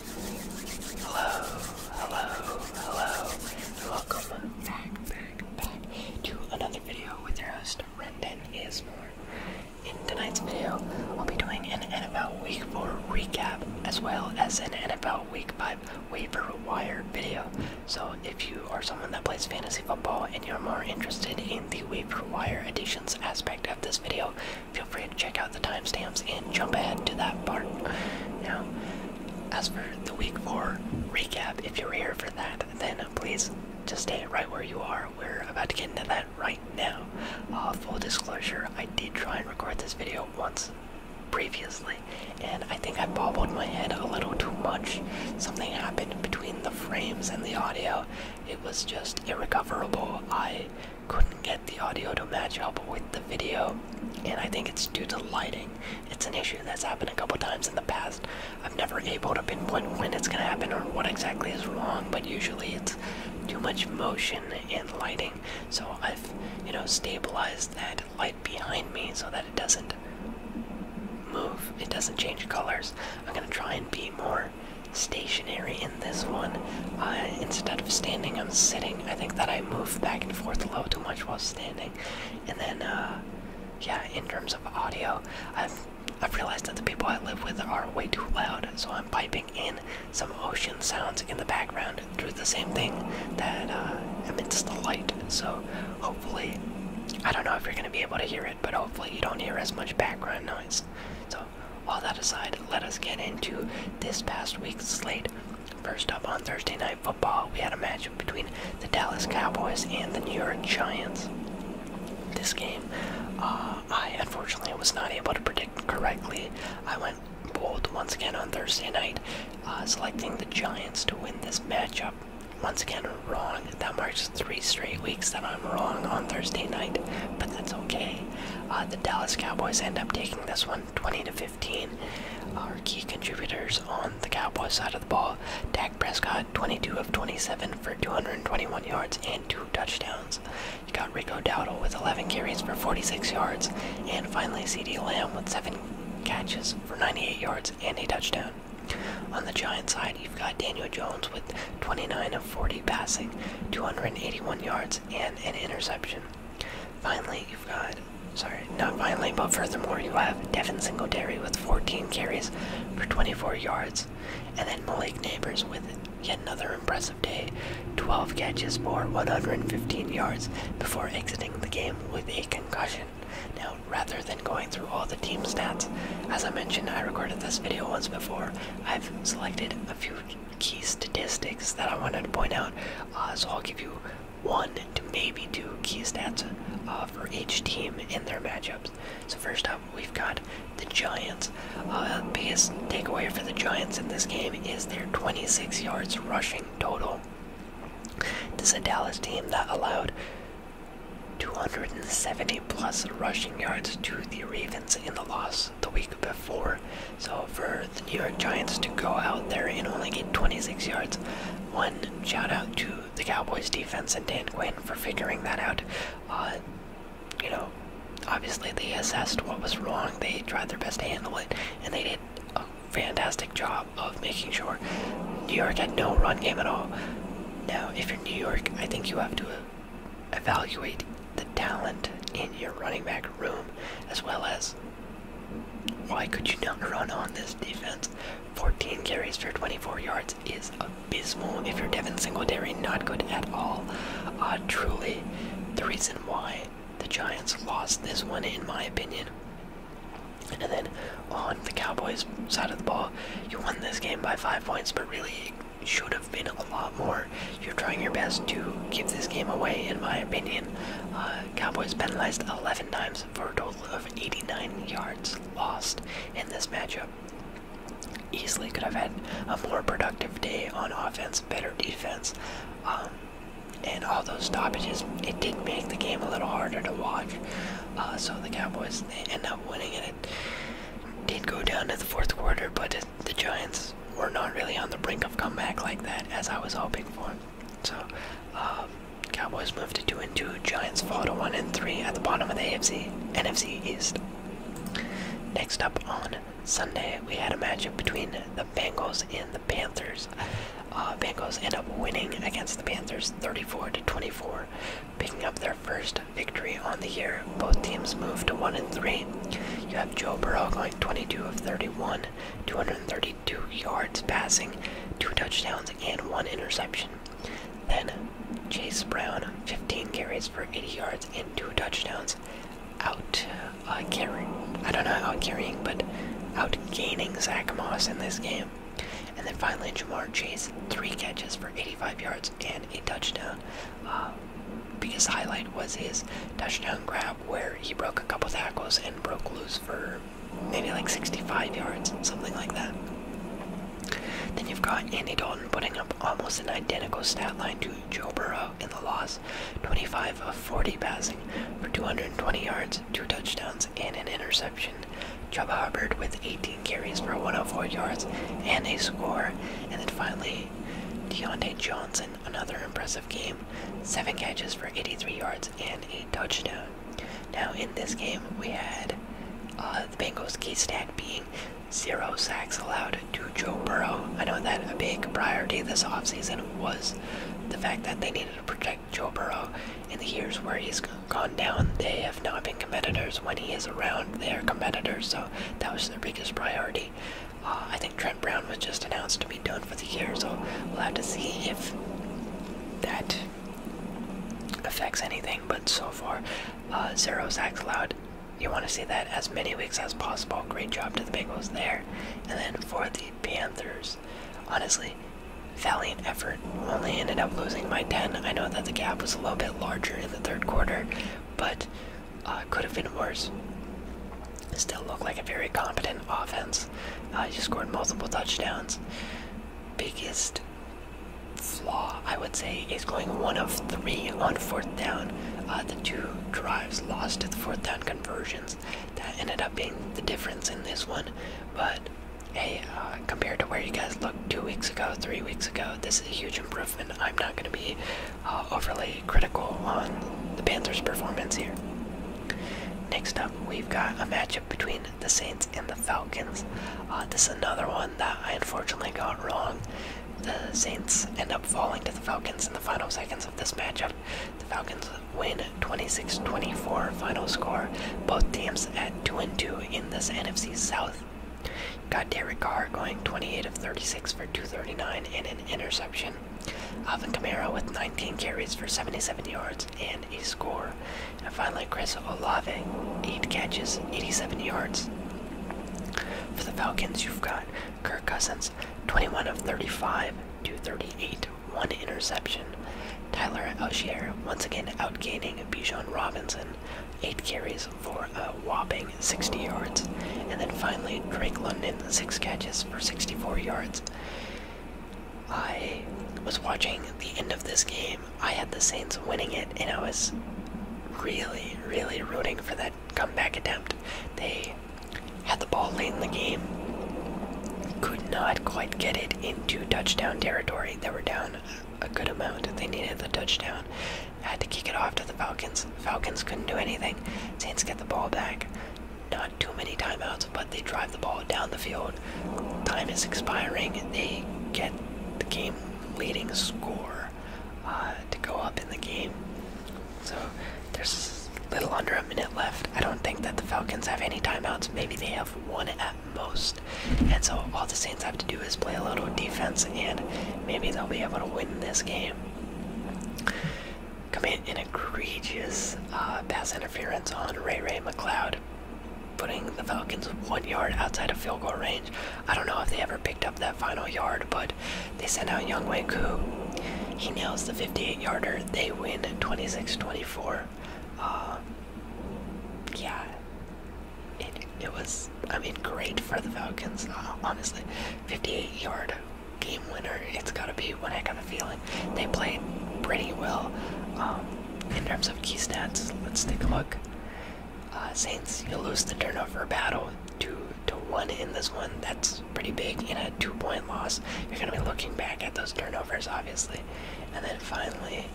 Hello, hello, hello. Welcome back, back, back to another video with your host, Rendon Ismore. In tonight's video, I'll be doing an NFL Week 4 recap as well as an NFL Week 5 waiver wire video. So if you are someone that plays fantasy football and you're more interested in the waiver wire editions aspect of this video, feel free to check out the timestamps and jump ahead to that part. Now, as for the week four recap, if you're here for that, then please just stay right where you are. We're about to get into that right now. Uh, full disclosure, I did try and record this video once previously, and I think I bobbled my head a little too much. Something happened between the frames and the audio. It was just irrecoverable. I couldn't get the audio to match up with the video, and I think it's due to lighting. It's an issue that's happened a couple times in the past. i have never able to pinpoint when it's gonna happen or what exactly is wrong, but usually it's too much motion and lighting. So I've, you know, stabilized that light behind me so that it doesn't move, it doesn't change colors. I'm gonna try and be more stationary in this one, uh, instead of standing, I'm sitting. I think that I moved back and forth a little too much while standing. And then, uh, yeah, in terms of audio, I've, realized that the people I live with are way too loud, so I'm piping in some ocean sounds in the background through the same thing that emits uh, the light. So hopefully, I don't know if you're going to be able to hear it, but hopefully you don't hear as much background noise. So all that aside, let us get into this past week's slate First up on Thursday Night Football, we had a matchup between the Dallas Cowboys and the New York Giants. This game, uh, I unfortunately was not able to predict correctly. I went bold once again on Thursday night, uh, selecting the Giants to win this matchup. Once again, wrong. That marks three straight weeks that I'm wrong on Thursday night, but that's okay. Uh, the Dallas Cowboys end up taking this one 20 to 15. 15 are key contributors on the Cowboys side of the ball. Dak Prescott, 22 of 27 for 221 yards and two touchdowns. You have got Rico Dowdle with 11 carries for 46 yards, and finally CD Lamb with seven catches for 98 yards and a touchdown. On the Giants side, you've got Daniel Jones with 29 of 40 passing, 281 yards, and an interception. Finally, you've got, sorry, not finally, but furthermore, you have Devin Singletary with 14 carries for 24 yards, and then Malik Neighbors with yet another impressive day 12 catches for 115 yards before exiting the game with a concussion. Now, rather than going through all the team stats, as I mentioned, I recorded this video once before. I've selected a few key statistics that I wanted to point out. Uh, so I'll give you one to maybe two key stats uh, for each team in their matchups. So first up, we've got the Giants. Uh, biggest takeaway for the Giants in this game is their 26 yards rushing total. This is a Dallas team that allowed 270 plus rushing yards to the Ravens in the loss the week before. So for the New York Giants to go out there and only get 26 yards, one shout out to the Cowboys defense and Dan Quinn for figuring that out. Uh, you know, obviously they assessed what was wrong, they tried their best to handle it, and they did a fantastic job of making sure New York had no run game at all. Now, if you're New York, I think you have to uh, evaluate the talent in your running back room as well as why could you not run on this defense? 14 carries for 24 yards is abysmal. If you're Devin Singletary, not good at all. Uh, truly, the reason why the Giants lost this one, in my opinion. And then on the Cowboys' side of the ball, you won this game by five points, but really should have been a lot more. You're trying your best to keep this game away, in my opinion. Uh, Cowboys penalized 11 times for a total of 89 yards lost in this matchup. Easily could have had a more productive day on offense, better defense, um, and all those stoppages. It did make the game a little harder to watch. Uh, so the Cowboys they end up winning, and it did go down to the fourth quarter, but the Giants we're not really on the brink of comeback like that as I was hoping for. So, um, Cowboys move to two and two. Giants fall to one and three at the bottom of the AFC NFC East. Next up on Sunday, we had a matchup between the Bengals and the Panthers. Uh, Bengals end up winning against the Panthers 34 to 24, picking up their first victory on the year. Both teams move to 1 and 3. You have Joe Burrow going 22 of 31 232 yards passing, two touchdowns, and one interception. Then Chase Brown, 15 carries for 80 yards and two touchdowns, out uh, carrying, I don't know how carrying, but out gaining Zach Moss in this game. And then finally, Jamar Chase, three catches for 85 yards and a touchdown. Uh, biggest highlight was his touchdown grab where he broke a couple tackles and broke loose for maybe like 65 yards, something like that. Then you've got Andy Dalton putting up almost an identical stat line to Joe Burrow in the loss 25 of 40 passing for 220 yards, two touchdowns, and an interception. Chuba Hubbard with 18 carries for 104 yards and a score. And then finally, Deontay Johnson another impressive game, 7 catches for 83 yards and a touchdown. Now, in this game, we had uh, the Bengals' key stat being zero sacks allowed to Joe Burrow. I know that a big priority this offseason was the fact that they needed to protect Joe Burrow. In the years where he's gone down, they have not been competitors. When he is around, they are competitors, so that was their biggest priority. Uh, I think Trent Brown was just announced to be done for the year, so we'll have to see if that affects anything. But so far, uh, zero sacks allowed. You want to see that as many weeks as possible. Great job to the Bengals there. And then for the Panthers, honestly, valiant effort. Only ended up losing by 10. I know that the gap was a little bit larger in the third quarter, but uh, could have been worse still look like a very competent offense. Uh, you scored multiple touchdowns. Biggest flaw, I would say, is going one of three on fourth down. Uh, the two drives lost to the fourth down conversions. That ended up being the difference in this one. But hey, uh, compared to where you guys looked two weeks ago, three weeks ago, this is a huge improvement. I'm not going to be uh, overly critical on the Panthers' performance here. Next up, we've got a matchup between the Saints and the Falcons. Uh, this is another one that I unfortunately got wrong. The Saints end up falling to the Falcons in the final seconds of this matchup. The Falcons win 26-24 final score. Both teams at 2 and 2 in this NFC South. Got Derek Carr going 28 of 36 for 239 and an interception. Alvin Kamara with 19 carries for 77 yards and a score. And finally, Chris Olave, 8 catches, 87 yards. For the Falcons, you've got Kirk Cousins, 21 of 35, 238, 1 interception. Tyler Algier, once again outgaining Bijan Robinson, 8 carries for a whopping 60 yards. And then finally, Drake London, 6 catches for 64 yards. I was watching the end of this game. I had the Saints winning it, and I was really, really rooting for that comeback attempt. They had the ball late in the game, could not quite get it into touchdown territory. They were down a good amount. They needed the touchdown. had to kick it off to the Falcons. Falcons couldn't do anything. Saints get the ball back. 9 too many timeouts, but they drive the ball down the field. Time is expiring, and they get the game leading score uh, to go up in the game. So there's little under a minute left. I don't think that the Falcons have any timeouts. Maybe they have one at most. And so all the Saints have to do is play a little defense, and maybe they'll be able to win this game commit an egregious uh, pass interference on Ray Ray McLeod, putting the Falcons one yard outside of field goal range. I don't know if they ever picked up that final yard, but they sent out Young Wang Koo. He nails the 58 yarder. They win 26 24. Uh, yeah, it, it was, I mean, great for the Falcons, uh, honestly. 58 yard game winner. It's got to be when I got a feeling. They played pretty well um, in terms of key stats. Let's take a look. Uh, Saints, you lose the turnover battle two to one in this one. That's pretty big in a two-point loss. You're gonna be looking back at those turnovers, obviously. And then finally,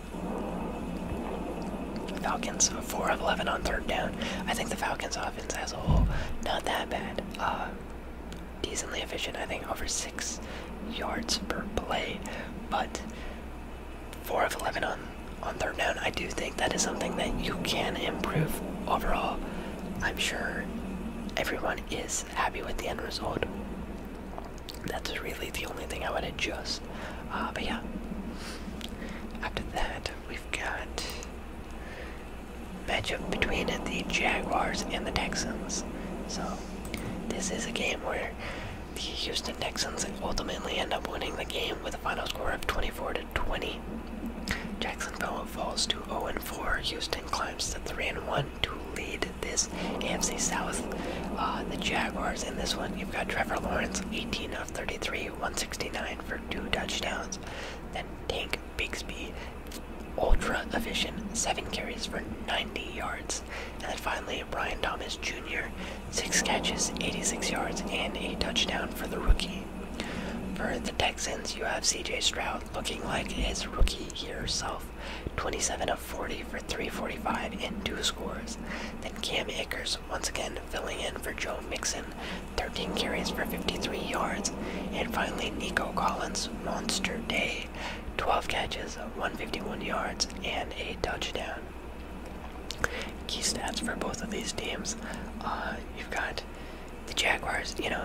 Falcons four of eleven on third down. I think the Falcons offense as a whole not that bad. Uh, decently efficient, I think, over six yards per play. But four of eleven on on third down, I do think that is something that you can improve overall. I'm sure everyone is happy with the end result. That's really the only thing I would adjust. Uh, but yeah. After that, we've got matchup between the Jaguars and the Texans. So, this is a game where the Houston Texans ultimately end up winning the game with a final score of 24 to 20. Jacksonville falls to 0 and 4. Houston climbs to 3 and 1 to lead this AFC South. Uh, the Jaguars in this one, you've got Trevor Lawrence, 18 of 33, 169 for two touchdowns. Then Tank Mike Bigsby, ultra efficient, seven carries for 90 yards. And then finally, Brian Thomas Jr., six catches, 86 yards, and a touchdown for the rookie. For the Texans, you have CJ Stroud looking like his rookie year self 27 of 40 for 345 and two scores. Then Cam Akers once again filling in for Joe Mixon, 13 carries for 53 yards. And finally, Nico Collins, monster day, 12 catches, 151 yards, and a touchdown. Key stats for both of these teams. Uh, you've got the Jaguars, you know,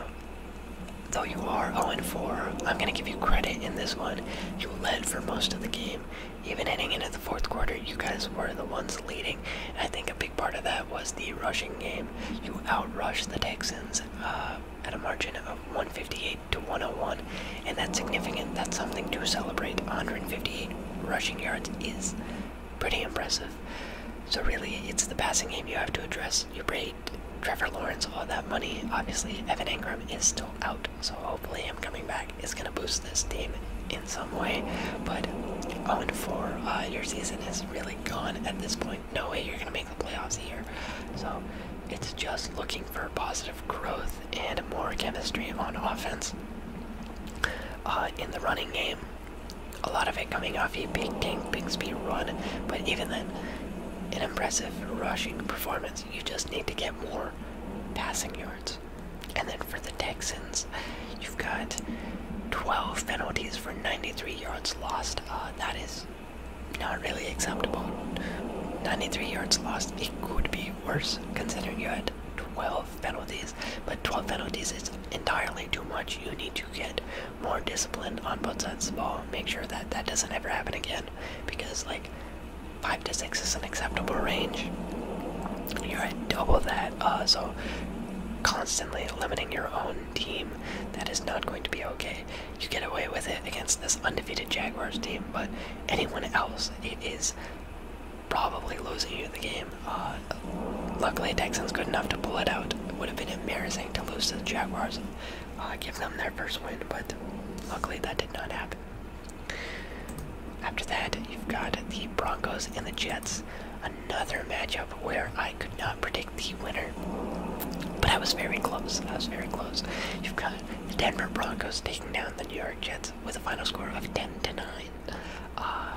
though you are 0-4, I'm going to give you credit in this one. You led for most of the game. Even heading into the fourth quarter, you guys were the ones leading. I think a big part of that was the rushing game. You outrushed the Texans uh, at a margin of 158 to 101, and that's significant. That's something to celebrate. 158 rushing yards is pretty impressive. So really, it's the passing game you have to address. You paid Trevor Lawrence all that money. Obviously, Evan Ingram is still out, so hopefully him coming back is going to boost this team in some way. But 0-4, uh, your season is really gone at this point no way you're going to make the playoffs here. So it's just looking for positive growth and more chemistry on offense. Uh, in the running game, a lot of it coming off a big tank big speed run, but even then, an impressive rushing performance. You just need to get more passing yards. And then for the Texans, you've got 12 penalties for 93 yards lost. Uh, that is not really acceptable. 93 yards lost. It could be worse considering you had 12 penalties, but 12 penalties is entirely too much. You need to get more disciplined on both sides of the ball. Make sure that that doesn't ever happen again because, like, 5 to 6 is an acceptable range. You're at double that, uh, so constantly limiting your own team, that is not going to be okay you get away with it against this undefeated Jaguars team, but anyone else, it is probably losing you the game. Uh, luckily, Texans good enough to pull it out. It would have been embarrassing to lose to the Jaguars and uh, give them their first win, but luckily that did not happen. After that, you've got the Broncos and the Jets, another matchup where I could not predict the winner, but I was very close. I was very close. You've got the Denver Broncos taking down the New York Jets with a final score of 10 to 9. Uh,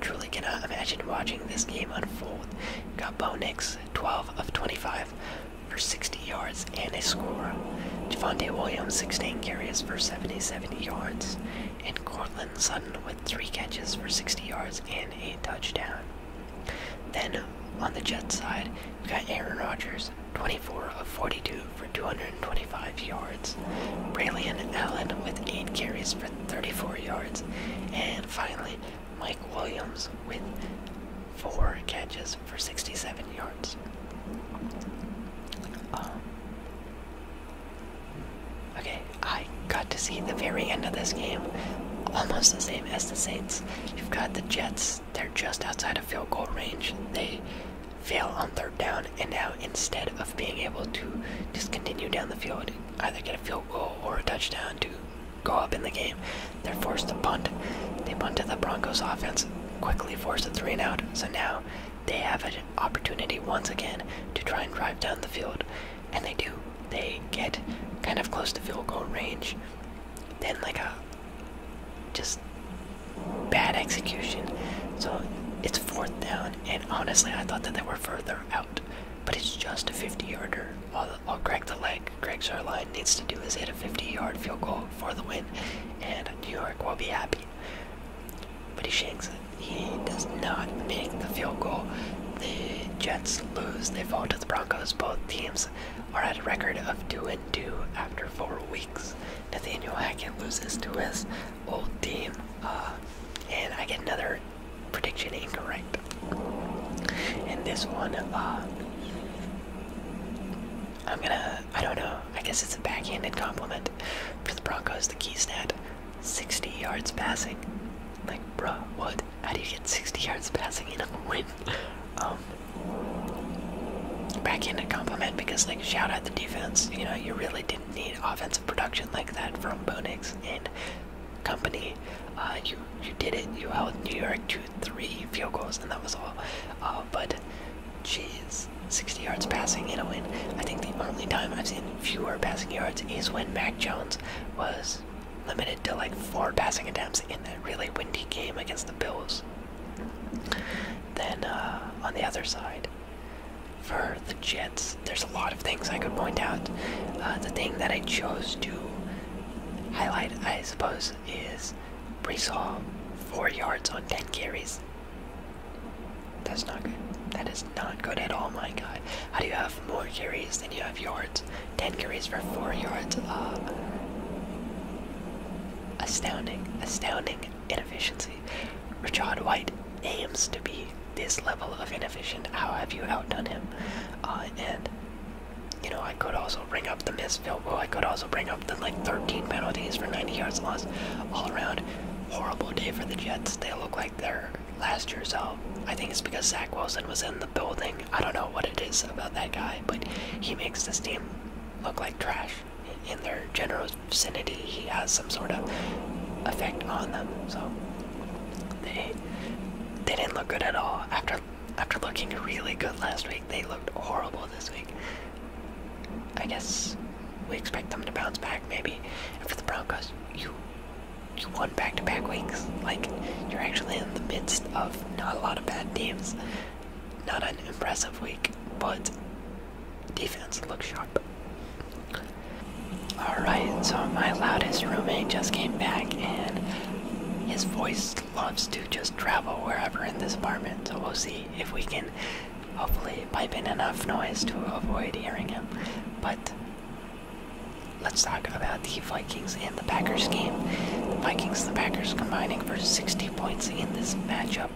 truly cannot imagine watching this game unfold. you got Bo Nix, 12 of 25 for 60 yards and a score. Javante Williams, 16 carries for 70 yards. And Cortland Sutton with 3 catches for 60 yards and a touchdown. Then, on the Jets side, we got Aaron Rodgers, 24 of 42 for 225 yards. Braylon Allen with 8 carries for 34 yards. And finally, Mike Williams with 4 catches for 67 yards. Um, okay, I got to see the very end of this game, almost the same as the Saints. You've got the Jets they're just outside of field goal range, they fail on third down, and now instead of being able to just continue down the field, either get a field goal or a touchdown to go up in the game, they're forced to punt. They punt to the Broncos offense, quickly force a three out, so now they have an opportunity once again to try and drive down the field, and they do. They get kind of close to field goal range, then, like a just bad execution. So it's fourth down, and honestly, I thought that they were further out. But it's just a 50-yarder. All, all Greg the leg, Greg Charline needs to do is hit a 50-yard field goal for the win, and New York will be happy. But he shanks it. He does not make the field goal. The Jets lose. They fall to the Broncos. Both teams are at a record of 2 and 2 after 4 weeks. Nathaniel Hackett loses to his old team, uh, and I get another prediction incorrect. And this one, uh, I don't know, I guess it's a backhanded compliment for the Broncos, the key stat 60 yards passing. Like, bruh, what? How do you get 60 yards passing in a win? Um, back in a compliment because, like, shout out the defense. You know, you really didn't need offensive production like that from Bonix and company. Uh, you you did it. You held New York to three field goals, and that was all. Uh, but, jeez, 60 yards passing in a win. I think the only time I've seen fewer passing yards is when Mac Jones was limited to like four passing attempts in that really windy game against the Bills. Then uh, on the other side, for the Jets, there's a lot of things I could point out. Uh, the thing that I chose to highlight, I suppose, is Brees four yards on ten carries. That's not good. That is not good at all, my God, How do you have more carries than you have yards? 10 carries for 4 yards. Uh, astounding, astounding inefficiency. Richard White aims to be this level of inefficient. How have you outdone him? Uh, and, you know, I could also bring up the missed field goal. I could also bring up the, like, 13 penalties for 90 yards lost. All around, horrible day for the Jets. They look like they're last years so I think it's because Zach Wilson was in the building. I don't know what it is about that guy but he makes this team look like trash in their general vicinity. He has some sort of effect on them. So they they didn't look good at all. After after looking really good last week, they looked horrible this week. I guess we expect them to bounce back maybe. And for the Broncos, you you won back to back weeks. Like you're actually in the midst of not a lot of bad teams. Not an impressive week, but defense looks sharp. Alright, so my loudest roommate just came back and his voice loves to just travel wherever in this apartment, so we'll see if we can hopefully pipe in enough noise to avoid hearing him. But let's talk about uh, the Vikings and the Packers game. The Vikings and the Packers combining for 60 points in this matchup.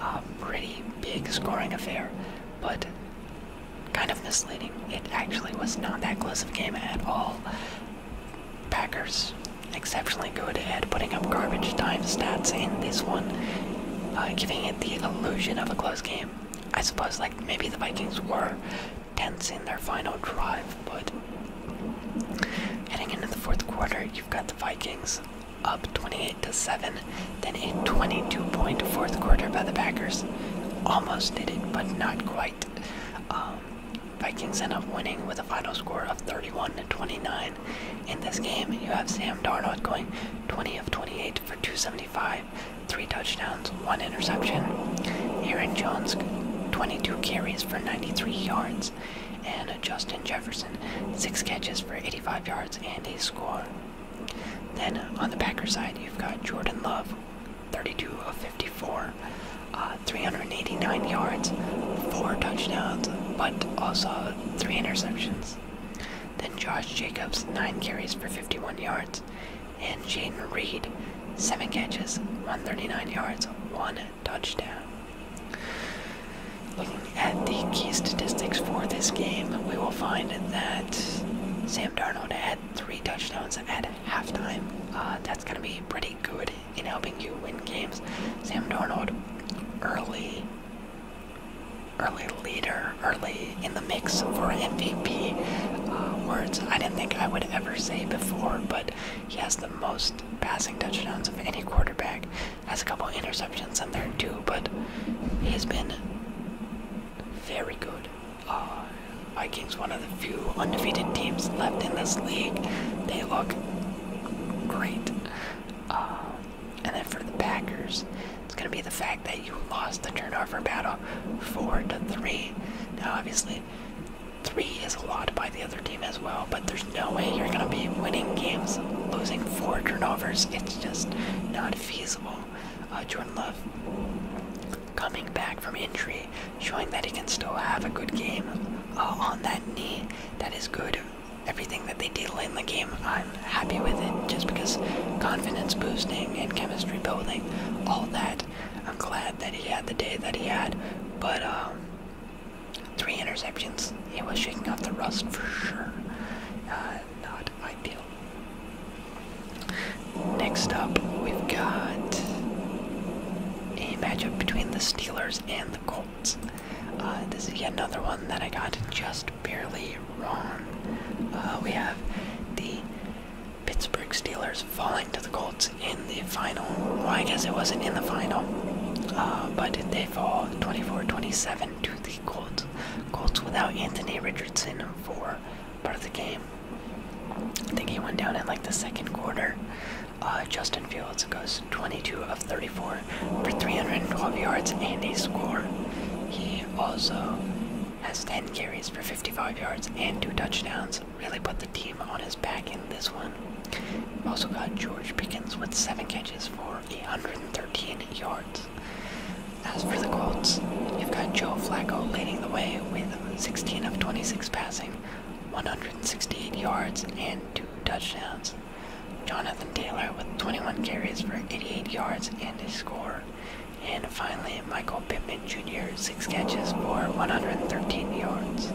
a pretty big scoring affair, but kind of misleading. It actually was not that close of a game at all. Packers exceptionally good at putting up garbage time stats in this one, uh, giving it the illusion of a close game. I suppose like maybe the Vikings were tense in their final drive, heading into the fourth quarter, you've got the Vikings up 28 to 7, then a 22-point fourth quarter by the Packers. Almost did it, but not quite. Um, Vikings end up winning with a final score of 31 to 29. In this game, you have Sam Darnold going 20 of 28 for 275, three touchdowns, one interception. Aaron Jones, 22 carries for 93 yards touchdowns, and Justin Jefferson, six catches for 85 yards and a score. Then on the Packers side, you've got Jordan Love, 32 of 54, uh, 389 yards, four touchdowns, but also three interceptions. Then Josh Jacobs, nine carries for 51 yards, and Jaden Reed, seven catches, 139 yards, one touchdown. Looking at the key statistics for this game, we will find that Sam Darnold had three touchdowns at halftime. Uh, that's going to be pretty good in helping you win games. Sam Darnold, early, early leader, early in the mix for MVP. Uh, words I didn't think I would ever say before, but he has the most passing touchdowns of any quarterback. Has a couple interceptions in there too, but he has been very good. Uh, Vikings, one of the few undefeated teams left in this league. They look great. Uh, and then for the Packers, it's going to be the fact that you lost the turnover battle four to three. Now, obviously, Three is a lot by the other team as well, but there's no way you're going to be winning games losing four turnovers. It's just not feasible. Uh, Jordan Love coming back from injury, showing that he can still have a good game uh, on that knee. That is good. Everything that they did late in the game, I'm happy with it just because confidence boosting and chemistry building, all that. I'm glad that he had the day that he had, but um, Three interceptions. He was shaking off the rust for sure. Uh, not ideal. Next up, we've got a matchup between the Steelers and the Colts. Uh, this is yet another one that I got just barely wrong. Uh, we have the Pittsburgh Steelers falling to the Colts in the final. Well, I guess it wasn't in the final, uh, but they fall 24-27 to the Colts. Colts without Anthony Richardson for part of the game. I think he went down in like the second quarter. Uh, Justin Fields goes 22 of 34 for 312 yards and a score. He also has 10 carries for 55 yards and two touchdowns. Really put the team on his back in this one. also got George Pickens with seven catches for 113 yards. As for the Colts, you've got Joe Flacco leading the way with 16 of 26 passing, 168 yards, and two touchdowns. Jonathan Taylor with 21 carries for 88 yards and a score. And finally, Michael Pittman Jr., 6 catches for 113 yards.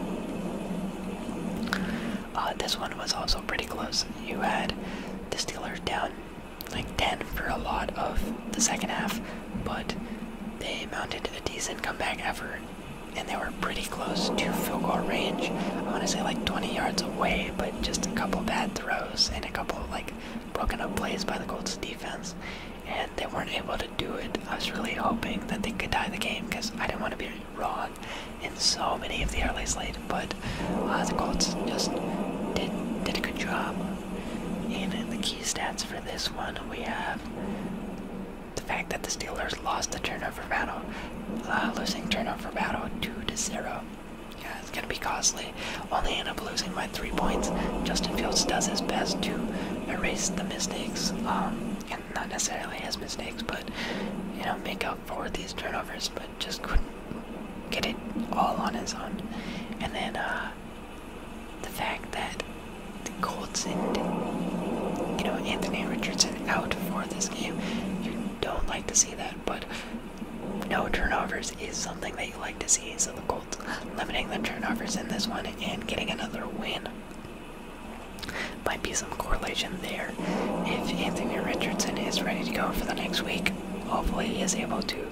Uh, this one was also pretty close. You had the Steelers down like 10 for a lot of the second half, but they mounted a decent comeback effort and they were pretty close to field goal range. I want to say like 20 yards away, but just a couple bad throws and a couple like broken up plays by the Colts defense, and they weren't able to do it. I was really hoping that they could tie the game because I didn't want to be wrong in so many of the early slate, but uh, the Colts just did, a good job. And the key stats for this one, we have the fact that the Steelers lost the turnover battle, uh, losing turnover battle 2 to 0. Yeah, it's gonna be costly. Only end up losing by three points. Justin Fields does his best to erase the mistakes. Um, not necessarily his mistakes, but you know, make up for these turnovers, but just couldn't get it all on his own. And then uh, the fact that the Colts and you know Anthony Richardson out for this game, you don't like to see that, but no turnovers is something that you like to see. So the Colts limiting the turnovers in this one and getting another win. Might be some correlation there. If Anthony Richardson is ready to go for the next week, hopefully he is able to,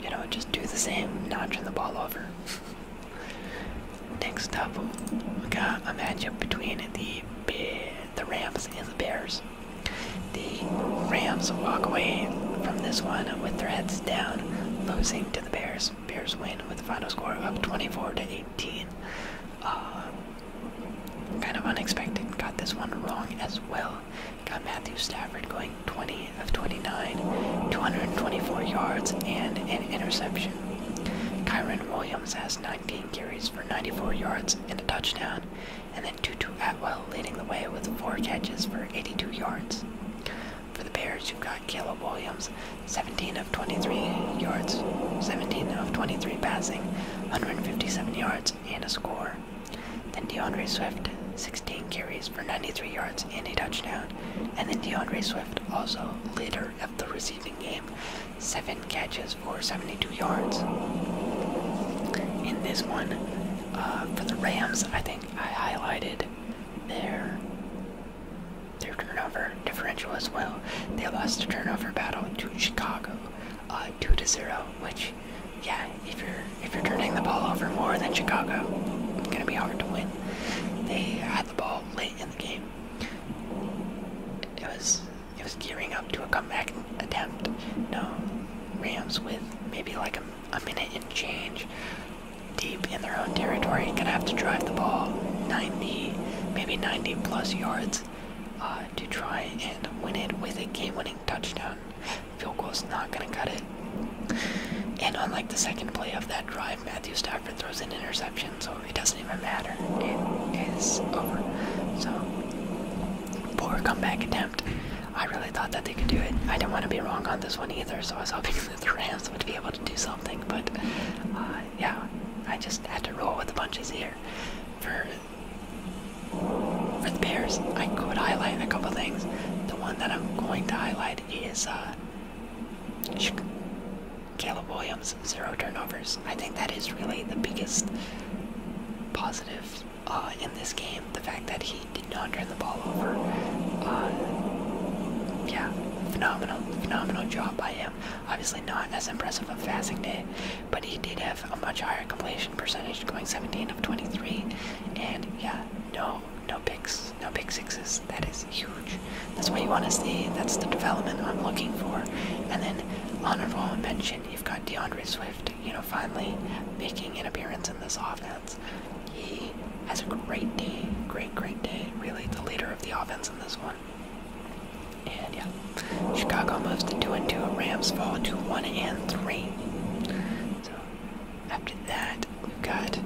you know, just do the same, notching the ball over. next up, we got a matchup between the the Rams and the Bears. The Rams walk away from this one with their heads down, losing to the Bears. Bears win with a final score of 24 to 8. 19. Um, kind of unexpected. Got this one wrong as well. Got Matthew Stafford going 20 of 29, 224 yards, and an interception. Kyron Williams has 19 carries for 94 yards and a touchdown, and then Tutu Atwell leading the way with 4 catches for 82 yards. For the Bears, you've got Caleb Williams 17 of 23 yards, 17 of 23 passing, 157 yards, and a score. Then DeAndre Swift, 16 carries for 93 yards and a touchdown. And then DeAndre Swift, also leader of the receiving game, 7 catches for 72 yards. In this one, uh, for the Rams, I think I highlighted there their turnover differential as well. They lost the turnover battle to Chicago, uh, two to zero. Which, yeah, if you're if you're turning the ball over more than Chicago, it's gonna be hard to win. They had the ball late in the game. It was it was gearing up to a comeback attempt. No, Rams with maybe like a, a minute and change deep in their own territory, gonna have to drive the ball 90 maybe 90 plus yards uh, to try and win it with a game-winning touchdown. Field goal's not gonna cut it. And on like the second play of that drive, Matthew Stafford throws an interception, so it doesn't even matter. It is over. So poor comeback attempt. I really thought that they could do it. I didn't want to be wrong on this one either, so I was hoping that the Rams would be able to do something, but uh, yeah, I just had to roll with the punches here. For for the Bears, I could highlight a couple things. The one that I'm going to highlight is uh, Caleb Williams, zero turnovers. I think that is really the biggest positive uh, in this game. The fact that he did not turn the ball over. Uh, yeah, phenomenal, phenomenal job by him. Obviously not as impressive a passing day, but he did have a much higher completion percentage going 17 of 23. And yeah, no, no picks, no pick sixes. That is huge. That's what you want to see. That's the development I'm looking for. And then honorable mention, you've got DeAndre Swift, you know, finally making an appearance in this offense. He has a great day, great, great day. Really the leader of the offense in this one. And yeah, Chicago moves to 2 and 2. Rams fall to 1 and 3. So after that, we've got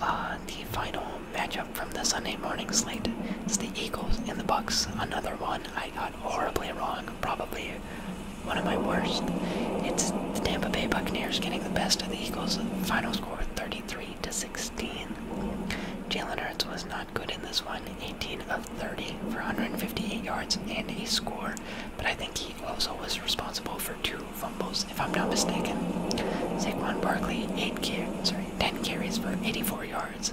uh, the final matchup from the Sunday morning slate. It's the Eagles and the Bucks. Another one I got horribly wrong. Probably one of my worst. It's the Tampa Bay Buccaneers getting the best of the Eagles. Final score 33 to 16. Jalen Hurts was not good in this one. 18 of 30 for 158 yards and a score. But I think he also was responsible for two fumbles, if I'm not mistaken. Saquon Barkley, eight car sorry, 10 carries for 84 yards.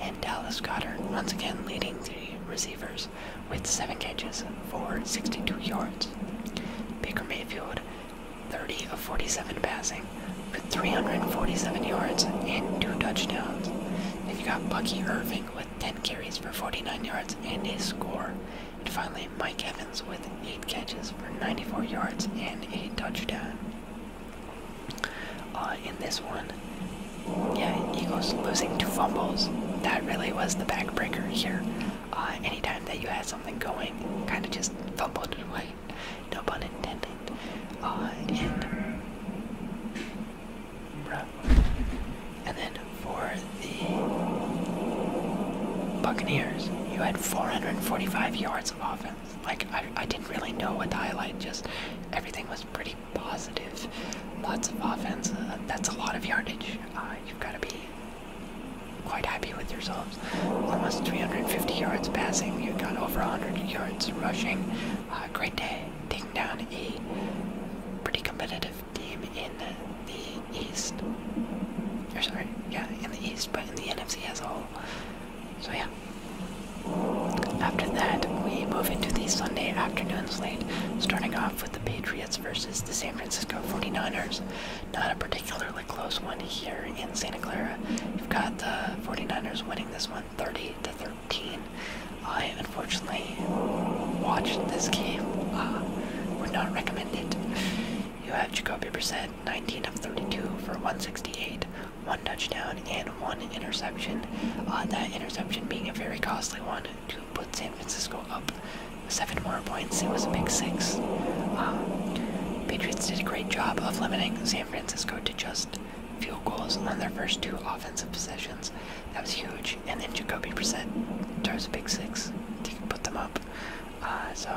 And Dallas Goddard, once again leading the receivers with seven catches for 62 yards. Baker Mayfield, 30 of 47 passing for 347 yards and two touchdowns. Then you got Bucky Irving with 10 carries for 49 yards and a score. And finally, Mike Evans with 8 catches for 94 yards and a touchdown. Uh, in this one, yeah, Eagles losing two fumbles. That really was the backbreaker here. Uh, anytime that you had something going, kind of just fumbled it away. No pun intended. Uh, and, and then for the Buccaneers, you had 445 yards of offense. Like, I, I didn't really know what to highlight, just everything was pretty positive. Lots of offense. Uh, that's a lot of yardage. Uh, you've got to be quite happy with yourselves almost 350 yards passing. You got over 100 yards rushing. Uh, great day, taking down a pretty competitive team in the East. Or sorry, yeah, in the East, but in the NFC as a whole. So yeah. After that, we move into the Sunday afternoon slate, starting off with the Patriots versus the San Francisco 49ers. Not a particularly close one here in Santa Clara. You've got the 49ers winning this one 30 to 13. I unfortunately watched this game. Uh, would not recommend it. You have Jacoby Brissett, 19 of 32 for 168, one touchdown and one interception. Uh, that interception being a very costly one to put San Francisco up seven more points. It was a big six. Uh, Patriots did a great job of limiting San Francisco to just field goals on their first two offensive possessions. That was huge. And then Jacoby Brissett throws a big six to put them up. Uh, so,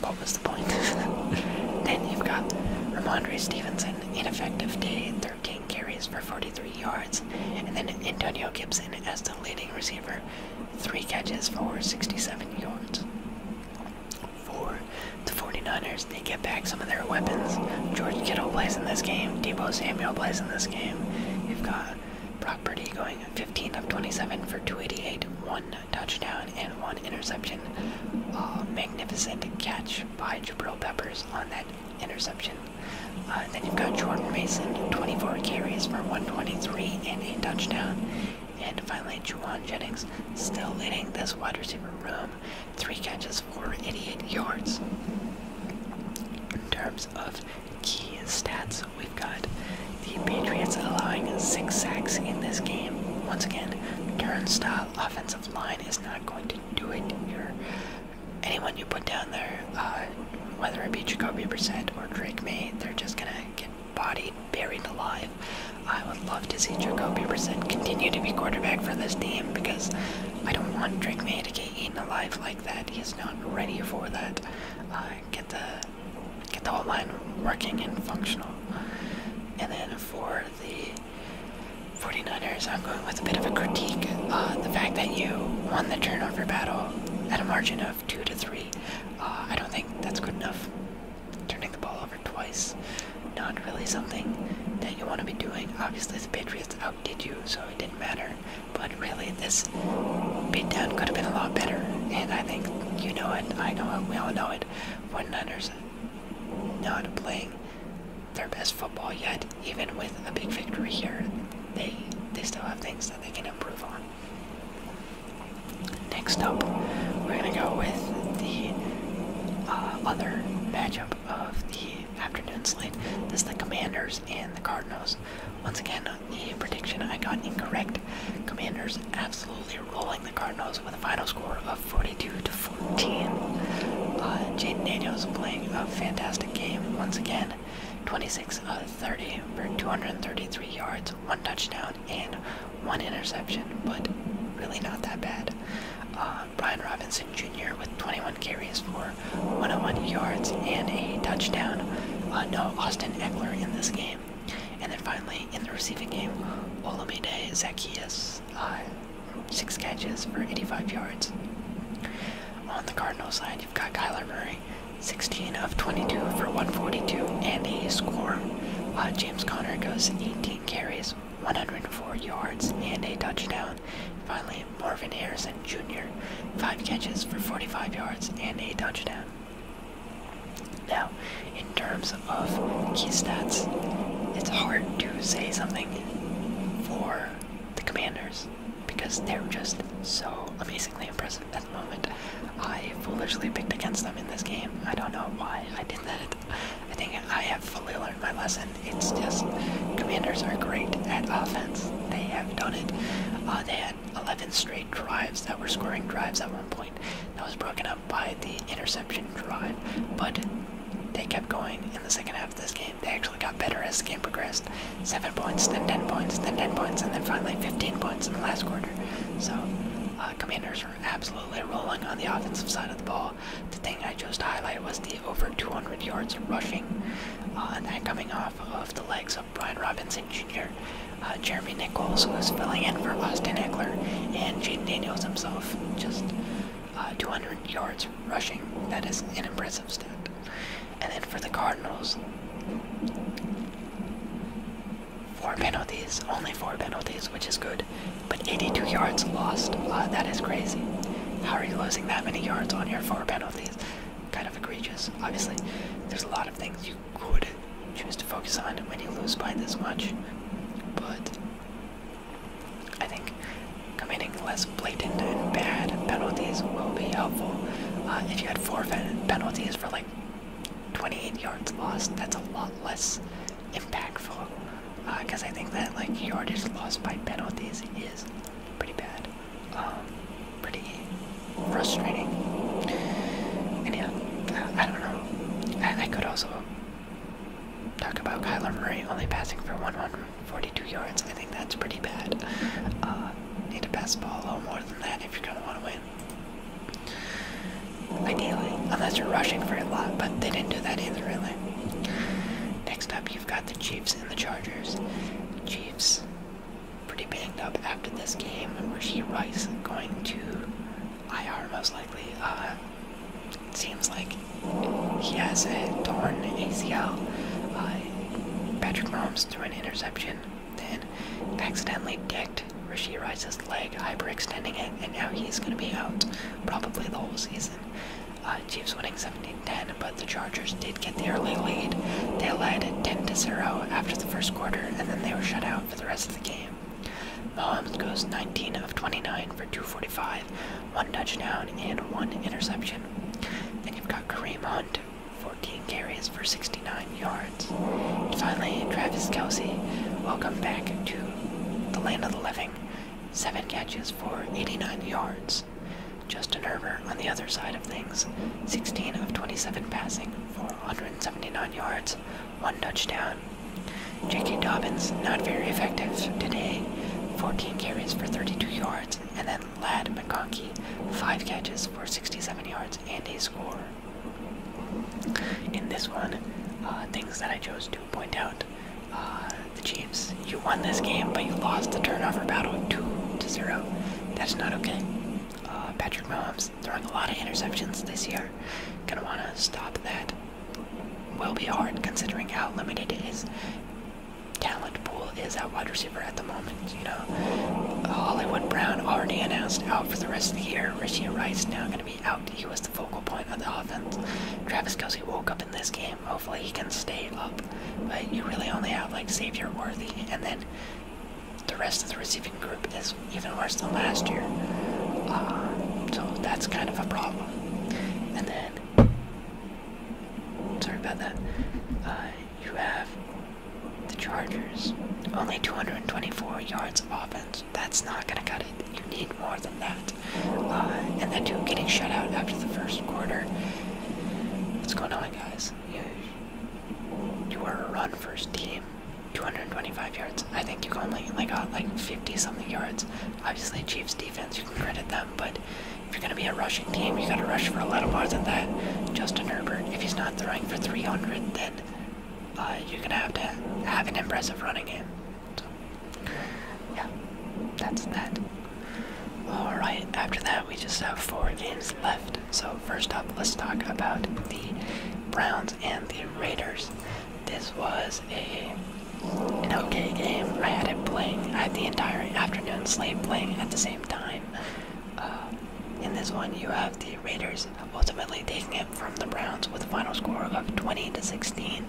what was the point? then you've got Ramondre Stevenson, ineffective day, 13 carries for 43 yards. And then Antonio Gibson as the leading receiver, 3 catches for 67 yards for the 49ers. They get back some of their weapons. George Kittle plays in this game. Debo Samuel plays in this game. You've got Brock Purdy going 15 of 27 for 288, one touchdown and one interception. magnificent catch by Jabril Peppers on that interception. Uh, then you've got Jordan Mason, 24 carries for 123 and a touchdown. And finally, Juwan Jennings still leading this wide receiver room. Three catches for 88 yards. In terms of key stats, we've got the Patriots allowing six sacks in this game. Once again, turnstile offensive line is not going to do it here. Anyone you put down there, uh, whether it be Jacoby Brissett or Drake May, they're just gonna get bodied buried alive. I would love to see Jacoby Brissett continue to be quarterback for this team because I don't want Drake May to get eaten alive like that. He's not ready for that. get the get the whole line working and functional. And then for the 49ers, I'm going with a bit of a critique. Uh, the fact that you won the turnover battle at a margin of two to three, uh, I don't think that's good enough. Turning the ball over twice. Not really something that you want to be doing. Obviously, the Patriots outdid you, so it didn't matter. But really, this beatdown could have been a lot better. And I think you know it, I know it, we all know it. When know how to play their best football yet, even with a big victory here. They, they still have things that they can improve on next up, we're gonna go with the uh, other matchup of the afternoon slate. This is the Commanders and the Cardinals. Once again, the prediction I got incorrect. Commanders absolutely rolling the Cardinals with a final score of 42 to 14. Uh, Jaden Daniels playing a fantastic game once again. 26 of 30 for 233 yards, one touchdown, and one interception, but really not that bad. Uh, Brian Robinson Jr. with 21 carries for 101 yards and a touchdown. Uh, no Austin Eckler in this game. And then finally, in the receiving game, Olamide Zacchaeus, uh, 6 catches for 85 yards. On the Cardinal side, you've got Kyler Murray, 16 of 22 for 142 and a score. James Connor goes 18 carries 104 yards and a touchdown. Finally, Marvin Harrison Jr., 5 catches for 45 yards and a touchdown. Now, in terms of key stats, it's hard to say something for the commanders because they're just so amazingly impressive at the moment. I foolishly picked against them in this game. I don't know why I did that. I think I have fully learned my lesson. It's just commanders are great at offense. They have done it. Uh, they had 11 straight drives that were scoring drives at one point. That was broken up by the interception drive, but they kept going in the second half of this game. They actually got better as the game progressed. 7 points, then 10 points, then 10 points, and then finally 15 points in the last quarter. So, uh, commanders are absolutely rolling on the offensive side of the ball. The thing I chose to highlight was the over 200 yards of rushing, uh, and that coming off of the legs of Brian Robinson Jr., uh, Jeremy Nichols, who's filling in for Austin Eckler, and Jaden Daniels himself. Just uh, 200 yards rushing. That is an impressive stat. And then for the Cardinals, four penalties, only four penalties, which is good. But 82 yards lost. Uh, that is crazy. How are you losing that many yards on your four penalties? Kind of egregious. Obviously, there's a lot of things you could choose to focus on when you lose by this much. But I think committing less blatant and bad penalties will be helpful. Uh, if you had four penalties for like 28 yards lost, that's a lot less impactful because uh, I think that like yardage lost by penalties is pretty bad, um, pretty frustrating. And yeah, I, don't know. I, could also talk about Kyler Murray only passing for 142 yards. I think that's pretty bad. Uh, need to pass the ball a little more than that if you're gonna want to win ideally, unless you're rushing for a lot, but they didn't do that either, really. Next up, you've got the Chiefs and the Chargers. Chiefs pretty banged up after this game. Rasheed Rice going to IR most likely. Uh, seems like he has a torn ACL. Uh, Patrick Mahomes threw an interception, then accidentally kicked Rasheed Rice's leg, hyperextending it, and now he's going to be out probably the whole season. Uh, Chiefs winning 17-10, but the Chargers did get the early lead. They led 10-0 after the first quarter, and then they were shut out for the rest of the game. Mahomes goes 19 of 29 for 245, one touchdown and one interception. And you've got Kareem Hunt, 14 carries for 69 yards. And finally, Travis Kelsey, welcome back to the land of the living seven catches for 89 yards. Justin Herbert on the other side of things, 16 of 27 passing for 179 yards, one touchdown. J.K. Dobbins not very effective today, 14 carries for 32 yards, and then Lad McConkey, five catches for 67 yards and a score. In this one, uh, things that I chose to point out uh, the Chiefs. You won this game, but you lost the turnover battle two to zero. That's not okay. Uh, Patrick Mahomes throwing a lot of interceptions this year. Gonna wanna stop that. Will be hard considering how limited his talent pool is at wide receiver at the moment. You know, Hollywood Brown already announced out for the rest of the year. Richie Rice now gonna be out. He was the focal point of the offense. Travis Kelsey woke up in this game. Hopefully he can stay up. But you really only have like savior Worthy and then the rest of the receiving group is even worse than last year. Uh, so that's kind of a problem. And then, sorry about that, uh, you have the Chargers. Only 224 yards of offense. That's not going to cut it. You need more than that. Uh, and that team getting shut out after the first quarter. What's going on, guys? You, are a run first team. 225 yards. I think you only like got uh, like 50 something yards. Obviously, Chiefs defense, you can credit them, but if you're going to be a rushing team, you got to rush for a lot more than that. Justin Herbert, if he's not throwing for 300, then uh, you're going to have to have an impressive running game. So, yeah, that's that. Alright, after that, we just have four games left. So, first up, let's talk about the Browns and the Raiders. This was a an okay game. I had it playing. I had the entire afternoon slate playing at the same time. Uh, in this one, you have the Raiders ultimately taking it from the Browns with a final score of 20 to 16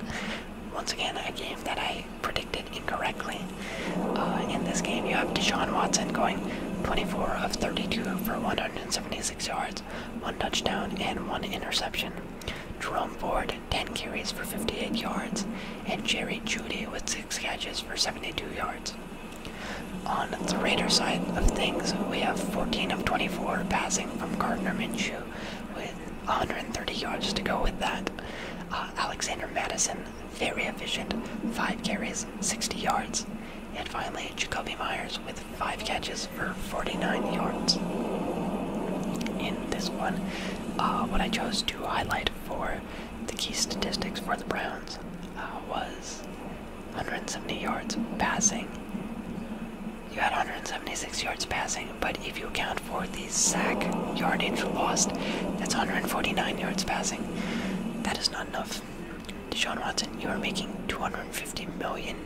once again, a game that I predicted incorrectly. Uh, in this game, you have Deshaun Watson going 24 of 32 for 176 yards, one touchdown, and one interception. Drummond Ford, 10 carries for 58 yards, and Jerry Judy with 6 catches for 72 yards. On the Raider side of things, we have 14 of 24 passing from Gardner Minshew with 130 yards to go with that. Uh, Alexander Madison, very efficient, 5 carries, 60 yards. And finally, Jacoby Myers with 5 catches for 49 yards. In this one, uh, what I chose to highlight for the key statistics for the Browns uh, was 170 yards passing, you had 176 yards passing, but if you account for the sack yardage lost, that's 149 yards passing. That is not enough. Deshaun Watson, you are making $250 million.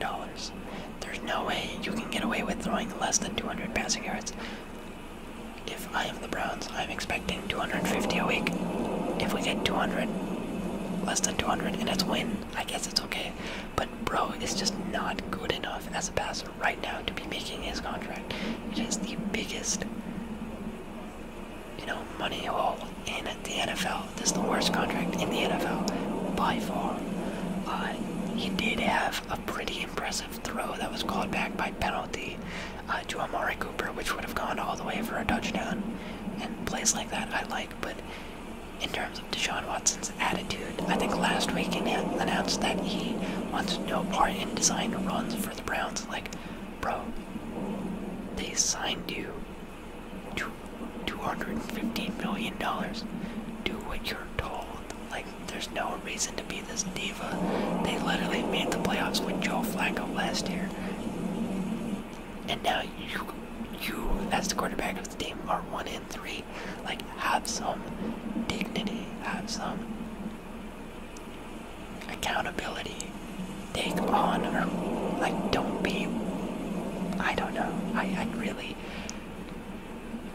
There's no way you can get away with throwing less than 200 passing yards. If I am the Browns, I'm expecting 250 a week. If we get 200, less than 200, and it's win, I guess it's okay. But bro, it's just not good enough as a passer right now to be making his contract. It is the biggest, you know, money hole in the NFL. This is the worst contract in the NFL by far. Uh, he did have a pretty impressive throw that was called back by penalty uh, to Amari Cooper, which would have gone all the way for a touchdown. And plays like that I like, but in terms of Deshaun Watson's attitude, I think last week he announced that he wants no part in design runs for the Browns. Like, bro, they signed you to $215 million. Do what you're told. Like, there's no reason to be this diva. They literally made the playoffs with Joe Flacco last year. And now you, you as the quarterback Celtics team are one in three. Like, have some dignity, have some accountability. Take honor. Like, don't be. I don't know. I, I really,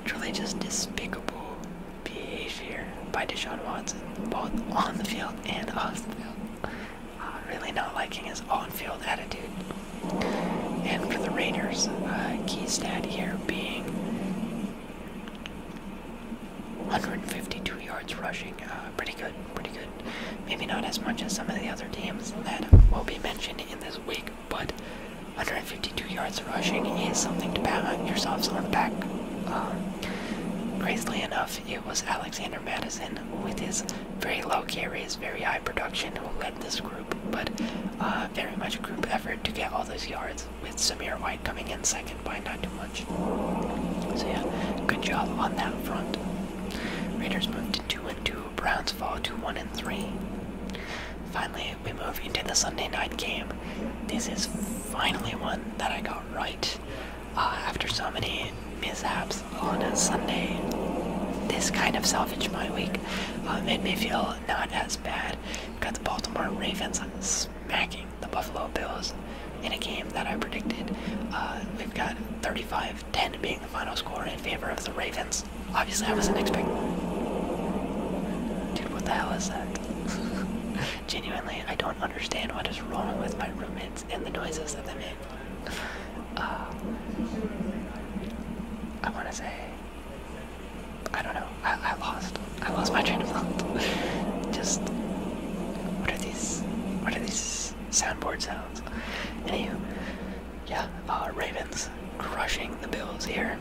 truly just despicable behavior by Deshaun Watson, both on the field and off the field. Uh, really not liking his on-field attitude. And for the Raiders, uh, key here being. 152 yards rushing, uh, pretty good, pretty good. Maybe not as much as some of the other teams that will be mentioned in this week, but 152 yards rushing is something to pat yourselves on the back. Graciously um, enough, it was Alexander Madison with his very low carries, very high production, who this group, but uh, very much group effort to get all those yards, with Samir White coming in second by not too much. So yeah, good job on that front. Raiders moved to 2 and 2, Browns fall to 1 and 3. Finally, we move into the Sunday night game. This is finally one that I got right. Uh, after so many mishaps on a Sunday, this kind of salvaged my week. Uh, made me feel not as bad We've got the Baltimore Ravens smacking the Buffalo Bills in a game that I predicted. Uh, we've got 35-10 being the final score in favor of the Ravens. Obviously, I wasn't expecting. Dude, what the hell is that? Genuinely, I don't understand what is wrong with my roommates and the noises that they make. Uh, I want to say I don't know. I, lost. I lost my train of thought. Just what are these? What are these soundboard sounds? Anywho, yeah. Uh, Ravens crushing the Bills here.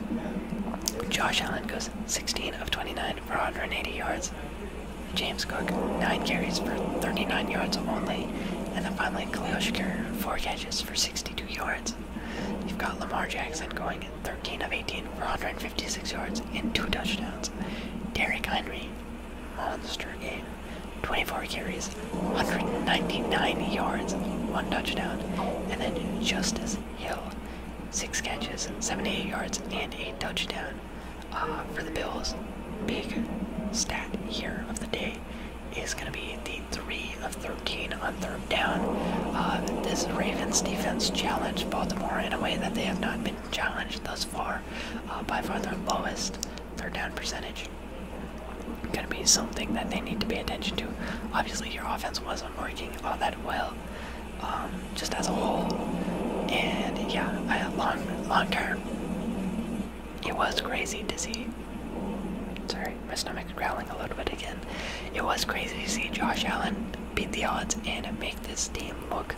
Josh Allen goes 16 of 29 for 180 yards. James Cook, 9 carries for 39 yards only. And then finally, Khalil Shakir, 4 catches for 62 yards. You've got Lamar Jackson going 13 of 18 456 yards and two touchdowns. Derrick Henry, monster game. 24 carries, 199 yards, one touchdown. And then Justice Hill, six catches, 78 yards, and a touchdown. Uh, for the Bills, big stat here of the day is going to be the three of. 13 on third down. Uh, this Ravens defense challenged Baltimore in a way that they have not been challenged thus far. Uh, by far the lowest third down percentage. Gonna be something that they need to pay attention to. Obviously, your offense wasn't working all that well, um, just as a whole. And yeah, I, long long term, it was crazy dizzy. Sorry. My stomach is growling a little bit again. It was crazy to see Josh Allen beat the odds and make this team look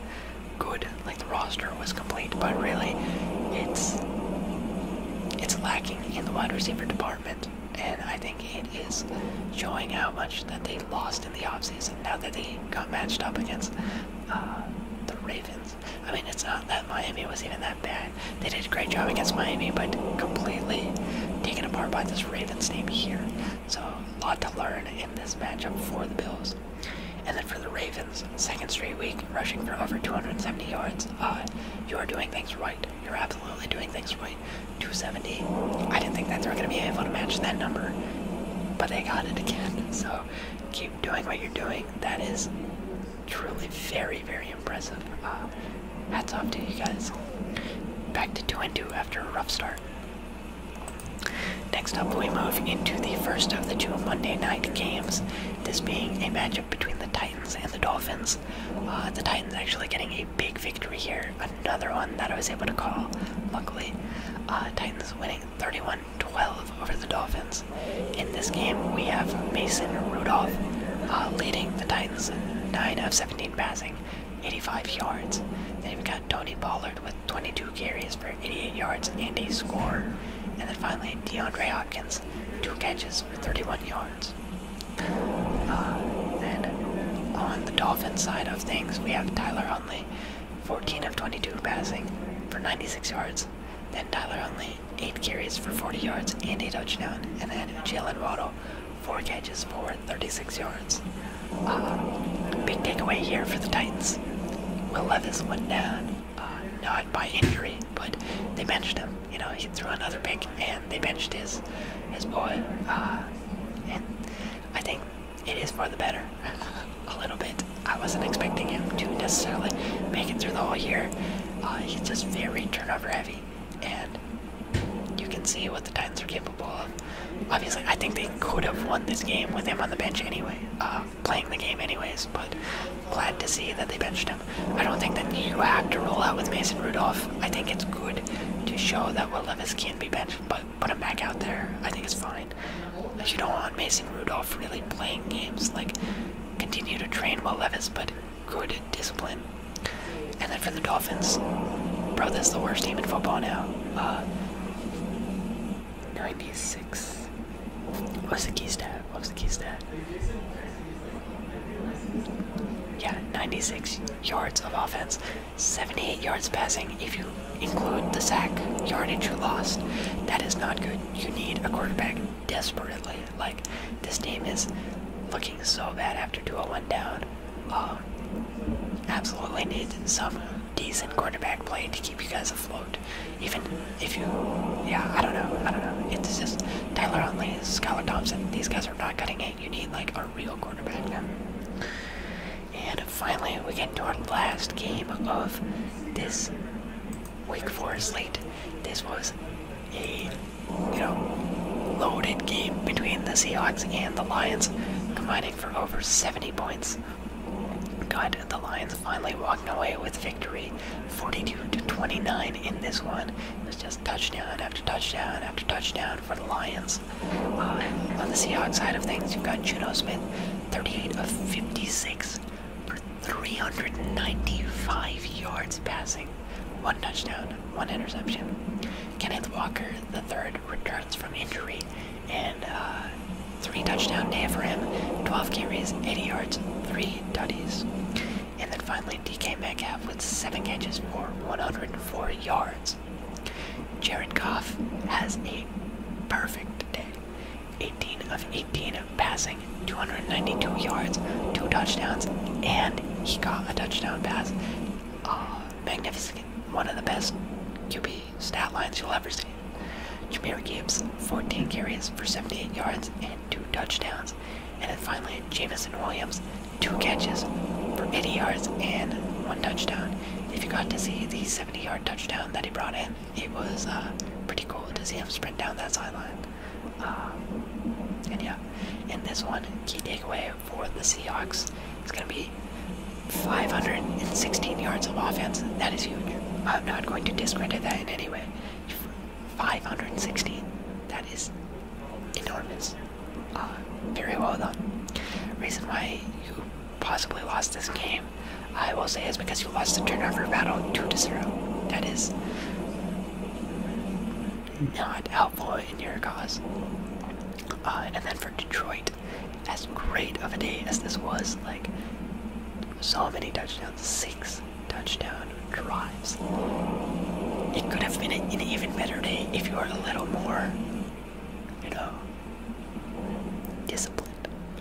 good. Like the roster was complete, but really, it's it's lacking in the wide receiver department. And I think it is showing how much that they lost in the offseason now that they got matched up against uh, the Ravens. I mean, it's not that Miami was even that bad. They did a great job against Miami, but completely taken apart by this Ravens name here. So a lot to learn in this matchup for the Bills. And then for the Ravens, second straight week, rushing for over 270 yards. Uh, you are doing things right. You're absolutely doing things right. 270. I didn't think that they were going to be able to match that number, but they got it again. So keep doing what you're doing. That is truly very, very impressive. Uh, Hats off to you guys. Back to 2 2 after a rough start. Next up, we move into the first of the two Monday night games, this being a matchup between the Titans and the Dolphins. Uh, the Titans actually getting a big victory here, another one that I was able to call, luckily. Uh, Titans winning 31 12 over the Dolphins. In this game, we have Mason Rudolph uh, leading the Titans 9 of 17 passing, 85 yards. They've got Tony Pollard with 22 carries for 88 yards and a score. And then finally, DeAndre Hopkins, two catches for 31 yards. then uh, on the Dolphins side of things, we have Tyler Huntley, 14 of 22 passing for 96 yards. Then Tyler Huntley, 8 carries for 40 yards and a touchdown. And then Jalen Waddle, four catches for 36 yards. Um, big takeaway here for the Titans. Will Levis went down, uh, not by injury, but they benched him. You know, he threw another pick, and they benched his his boy. Uh, and I think it is for the better, a little bit. I wasn't expecting him to necessarily make it through the whole year. Uh, he's just very turnover heavy and you can see what the Titans are capable of. Obviously, I think they could have won this game with him on the bench anyway, uh, playing the game anyways, but glad to see that they benched him. I don't think that you have to roll out with Mason Rudolph. I think it's good to show that Will Levis can be benched, but put him back out there. I think it's fine. You don't want Mason Rudolph really playing games. Like, continue to train Will Levis, but good discipline and then for the Dolphins, bro, this is the worst team in football now. Uh, 96. What's the key stat? What's the key stat? Yeah, 96 yards of offense, 78 yards passing. If you include the sack yardage you lost, that is not good. You need a quarterback desperately. Like, this team is looking so bad after 201 down. Uh, absolutely need some decent quarterback play to keep you guys afloat. Even if you, yeah, I don't know, I don't know. It's just Tyler Huntley, Skylar Thompson. These guys are not cutting it. You need like a real quarterback now. And finally, we get to our last game of this week four slate. This was a you know, loaded game between the Seahawks and the Lions, combining for over 70 points. Got the Lions finally walking away with victory, 42 to 29 in this one. It was just touchdown after touchdown after touchdown for the Lions. Uh, on the Seahawks side of things, you've got Juno Smith, 38 of 56 for 395 yards passing one touchdown, one interception. Kenneth Walker III returns from injury, and uh, three touchdowns day for him, 12 carries, 80 yards, three tutties. And then finally, DK Metcalf with seven catches for 104 yards. Jared Goff has a perfect day. 18 of 18 passing, 292 yards, two touchdowns, and he got a touchdown pass. Ah magnificent, one of the best QB stat lines you'll ever see. Jameer Gibbs, 14 carries for 78 yards and two touchdowns. And then finally, Jamison Williams, two catches for 80 yards and one touchdown. If you got to see the 70 yard touchdown that he brought in, it was uh, pretty cool to see him sprint down that sideline. Uh, and yeah, in this one, key takeaway for the Seahawks. It's going to be 516 yards of offense. That is huge. I'm not going to discredit that in any way. 516. That is enormous. Uh, very well done. Reason why you possibly lost this game, I will say, is because you lost the turnover battle 2 0. That is not helpful in your cause. Uh, and then for Detroit, as great of a day as this was, like so many touchdowns, six touchdown drives. It could have been an even better day if you were a little more, you know, disciplined.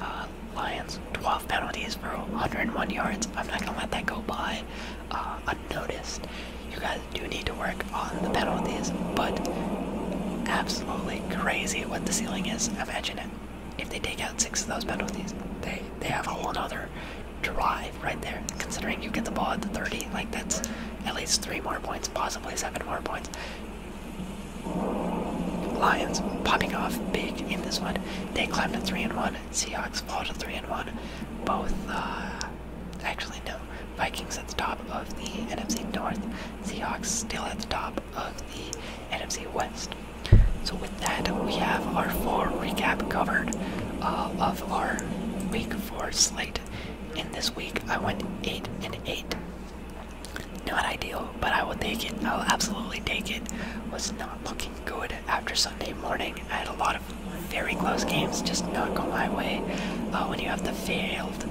Uh, Lions, 12 penalties for 101 yards. I'm not gonna let that go by. Uh, unnoticed. You guys do need to work on the penalties, but absolutely crazy what the ceiling is. Imagine it. If they take out six of those penalties, they they have a whole other drive right there. Considering you get the ball at the 30, like that's at least three more points, possibly seven more points. Lions popping off big in this one. They climb to three and one. Seahawks fall to three and one. Both uh, Actually, no. Vikings at the top of the NFC North. Seahawks still at the top of the NFC West. So with that, we have our full recap covered uh, of our Week 4 slate. In this week, I went 8 and 8. Not ideal, but I will take it. I'll absolutely take it. Was not looking good after Sunday morning. I had a lot of very close games just not go my way. Uh, when you have the failed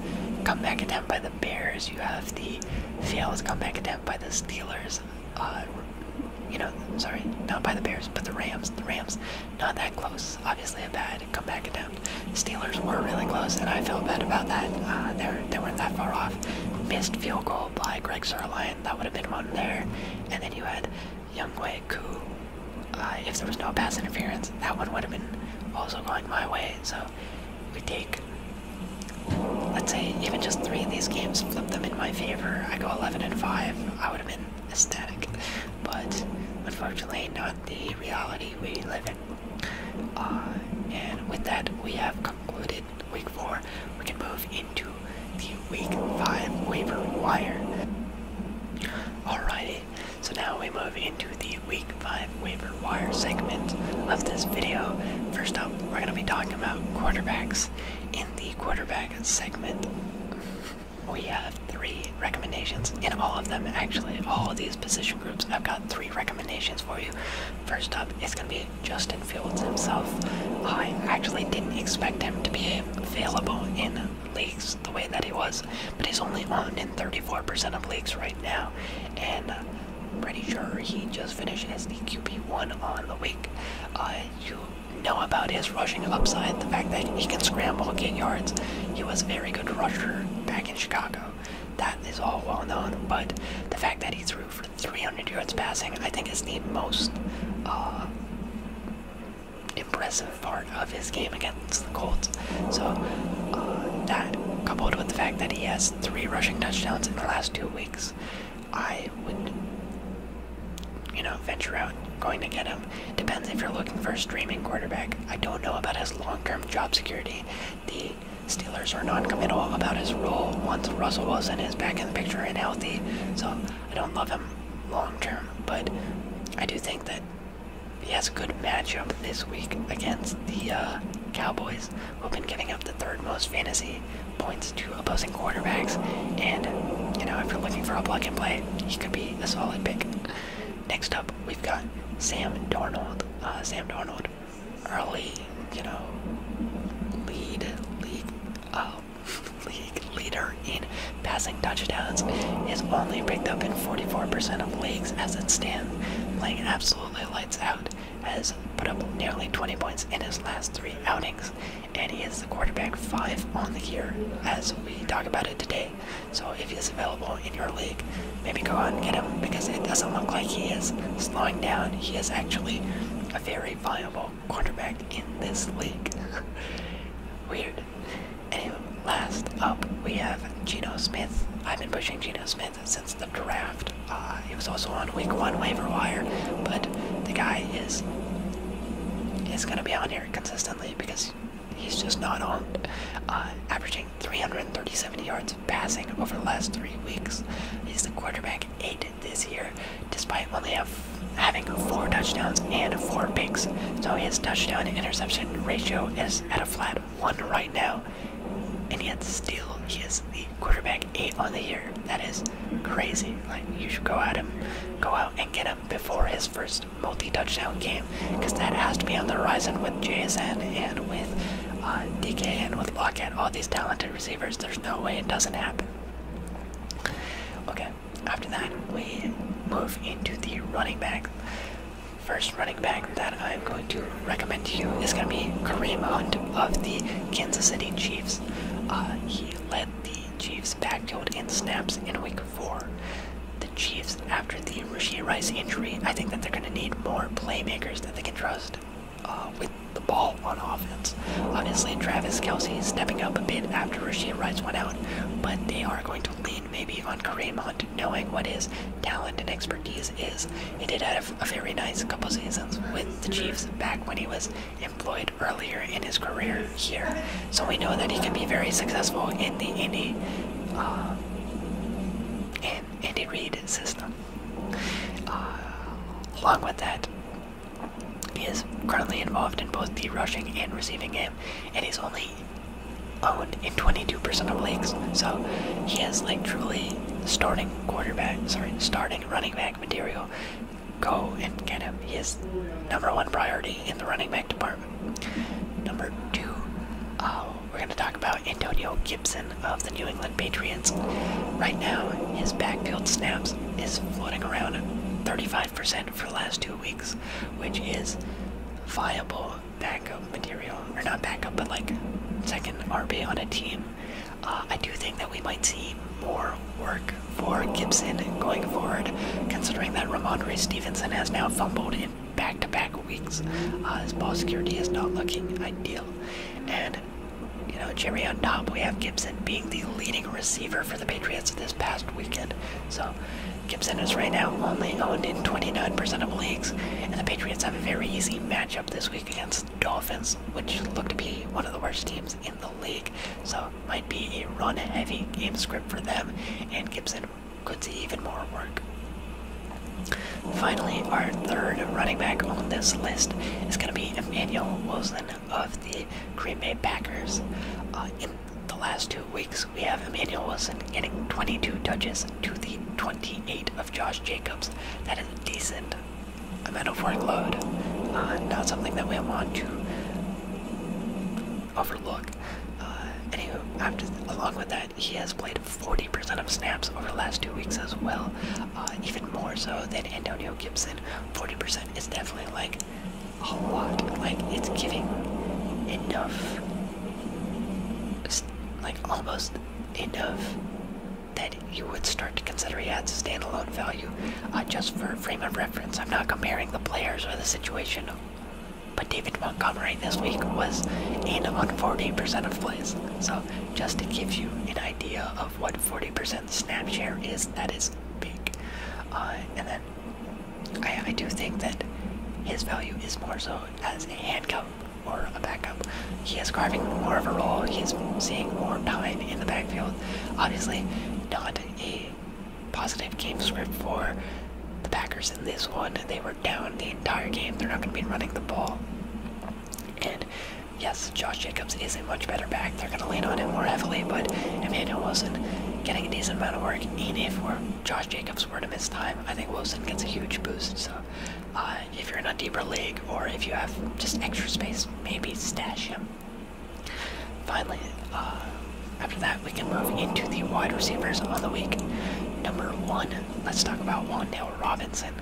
comeback attempt by the Bears, you have the failed comeback attempt by the Steelers. Uh, you know, sorry, not by the Bears, but the Rams. The Rams, not that close. Obviously, a bad comeback attempt. Steelers were really close, and I feel bad about that. Uh, they they weren't that far off. Missed field goal by Greg Sarlian. That would have been one there. And then you had Young coup. Uh, if there was no pass interference, that one would have been also going my way. So we take, let's say, even just three of these games, flip them in my favor. I go 11 and 5. I would have been ecstatic. But unfortunately, not the reality we live in. Uh, and with that, we have concluded week 4. We can move into the week 5 waiver wire. All righty. So now we move into the week five waiver wire segment of this video. First up, we're going to be talking about quarterbacks. In the quarterback segment, we have three recommendations in all of them. Actually, all of these position groups, I've got three recommendations for you. First up, it's going to be Justin Fields himself. I actually didn't expect him to be available in leagues the way that he was, but he's only on in 34% of leagues right now, and pretty sure he just finished as the QB1 on the week. Uh, you know about his rushing upside, the fact that he can scramble, get yards. He was a very good rusher back in Chicago. That is all well known, but the fact that he threw for 300 yards passing, I think, is the most uh, impressive part of his game against the Colts. So uh, that, coupled with the fact that he has three rushing touchdowns in the last two weeks, I would, you know, venture out going to get him. Depends if you're looking for a streaming quarterback. I don't know about his long-term job security. The Steelers are non-committal about his role once Russell Wilson is back in the picture and healthy. So I don't love him long term, but I do think that he has a good matchup this week against the uh, Cowboys, who've been giving up the third most fantasy points to opposing quarterbacks. And, you know, if you're looking for a plug and play, he could be a solid pick. Next up, we've got Sam Darnold. Uh, Sam Darnold, early, you know, lead, league, uh, league leader in passing touchdowns is only picked up in 44% of leagues as it stands. Playing absolutely lights out, has put up nearly 20 points in his last three outings, and he is the quarterback five on the year as we talk about it today. So if he's available in your league, maybe go out and get him because it doesn't look like he is slowing down. He is actually a very viable quarterback in this league. Weird. Anyway, last up we have Geno Smith. I've been pushing Geno Smith since the draft. Uh, he was also on week one waiver wire, but the guy is is gonna be on here consistently because he's just not owned. Uh, averaging 337 yards passing over the last three weeks. He's the quarterback eight this year, despite only having four touchdowns and four picks. So his touchdown interception ratio is at a flat one right now, and yet still he is the quarterback eight on the year. That is crazy. Like you should go at him, go out and get him before his first multi-touchdown game, because that has to be on the horizon with JSN and with uh, DK and with Lockett. All these talented receivers. There's no way it doesn't happen. Okay. After that, we move into the running back. First running back that I'm going to recommend to you is going to be Kareem Hunt of the Kansas City Chiefs. Uh, he led the Chiefs backfield in snaps in week four. The Chiefs, after the Rasheed Rice injury, I think that they're going to need more playmakers that they can trust uh, with the ball on offense. Obviously, Travis Kelsey is stepping up a bit after Rasheed Rice went out, but they are going to lean maybe on Kareem Hunt, knowing what his talent and expertise is. He did have a very nice couple seasons with the Chiefs back when he was employed earlier in his career here. So we know that he can be very successful in the Indy, uh, in Andy Reid system. Uh, along with that, he is currently involved in both the rushing and receiving game, and he's only owned in 22% of leagues. So he has like truly starting quarterback, sorry, starting running back material. Go and get him. He is number one priority in the running back department. Number two, uh, we're going to talk about Antonio Gibson of the New England Patriots. Right now, his backfield snaps is floating around 35% for the last two weeks, which is viable backup material, or not backup, but like second RB on a team. Uh, I do think that we might see more work for Gibson going forward, considering that Ramon Ramondre Stevenson has now fumbled in back-to-back weeks. Uh, his ball security is not looking ideal, and you know, Jerry on top, we have Gibson being the leading receiver for the Patriots this past weekend. So Gibson is right now only owned in 29% of leagues, and the Patriots have a very easy matchup this week against the Dolphins, which look to be one of the worst teams in the league. So might be a run-heavy game script for them, and Gibson could see even more work. Finally, our third running back on this list is going to be Emmanuel Wilson of the Green Bay Packers. Uh, in the last two weeks, we have Emmanuel Wilson getting 22 touches to the 28 of Josh Jacobs. That is a decent amount of workload. Uh, not something that we want to overlook. Uh, anywho, along with that, he has played 40% of snaps over the last two weeks as well. Uh, even more so than Antonio Gibson. 40% is definitely like a lot. Like, it's giving enough like almost enough that you would start to consider he had standalone value uh, just for frame of reference. I'm not comparing the players or the situation, but David Montgomery this week was in on 40% of plays. So just to give you an idea of what 40% snap share is, that is big. Uh, and then I, I do think that his value is more so as a handcuff or a backup. He is carving more of a role. He's seeing more time in the backfield. Obviously, not a positive game script for the Packers in this one. They were down the entire game. They're not going to be running the ball. And yes, Josh Jacobs is a much better back. They're going to lean on him more heavily, but Emmanuel wasn't getting a decent amount of work, even for Josh Jacobs Jacobs were to miss time, I think Wilson gets a huge boost. So uh, if you're in a deeper league or if you have just extra space, maybe stash him. Finally, uh, after that, we can move into the wide receivers of the week. Number one, let's talk about Wondell Robinson.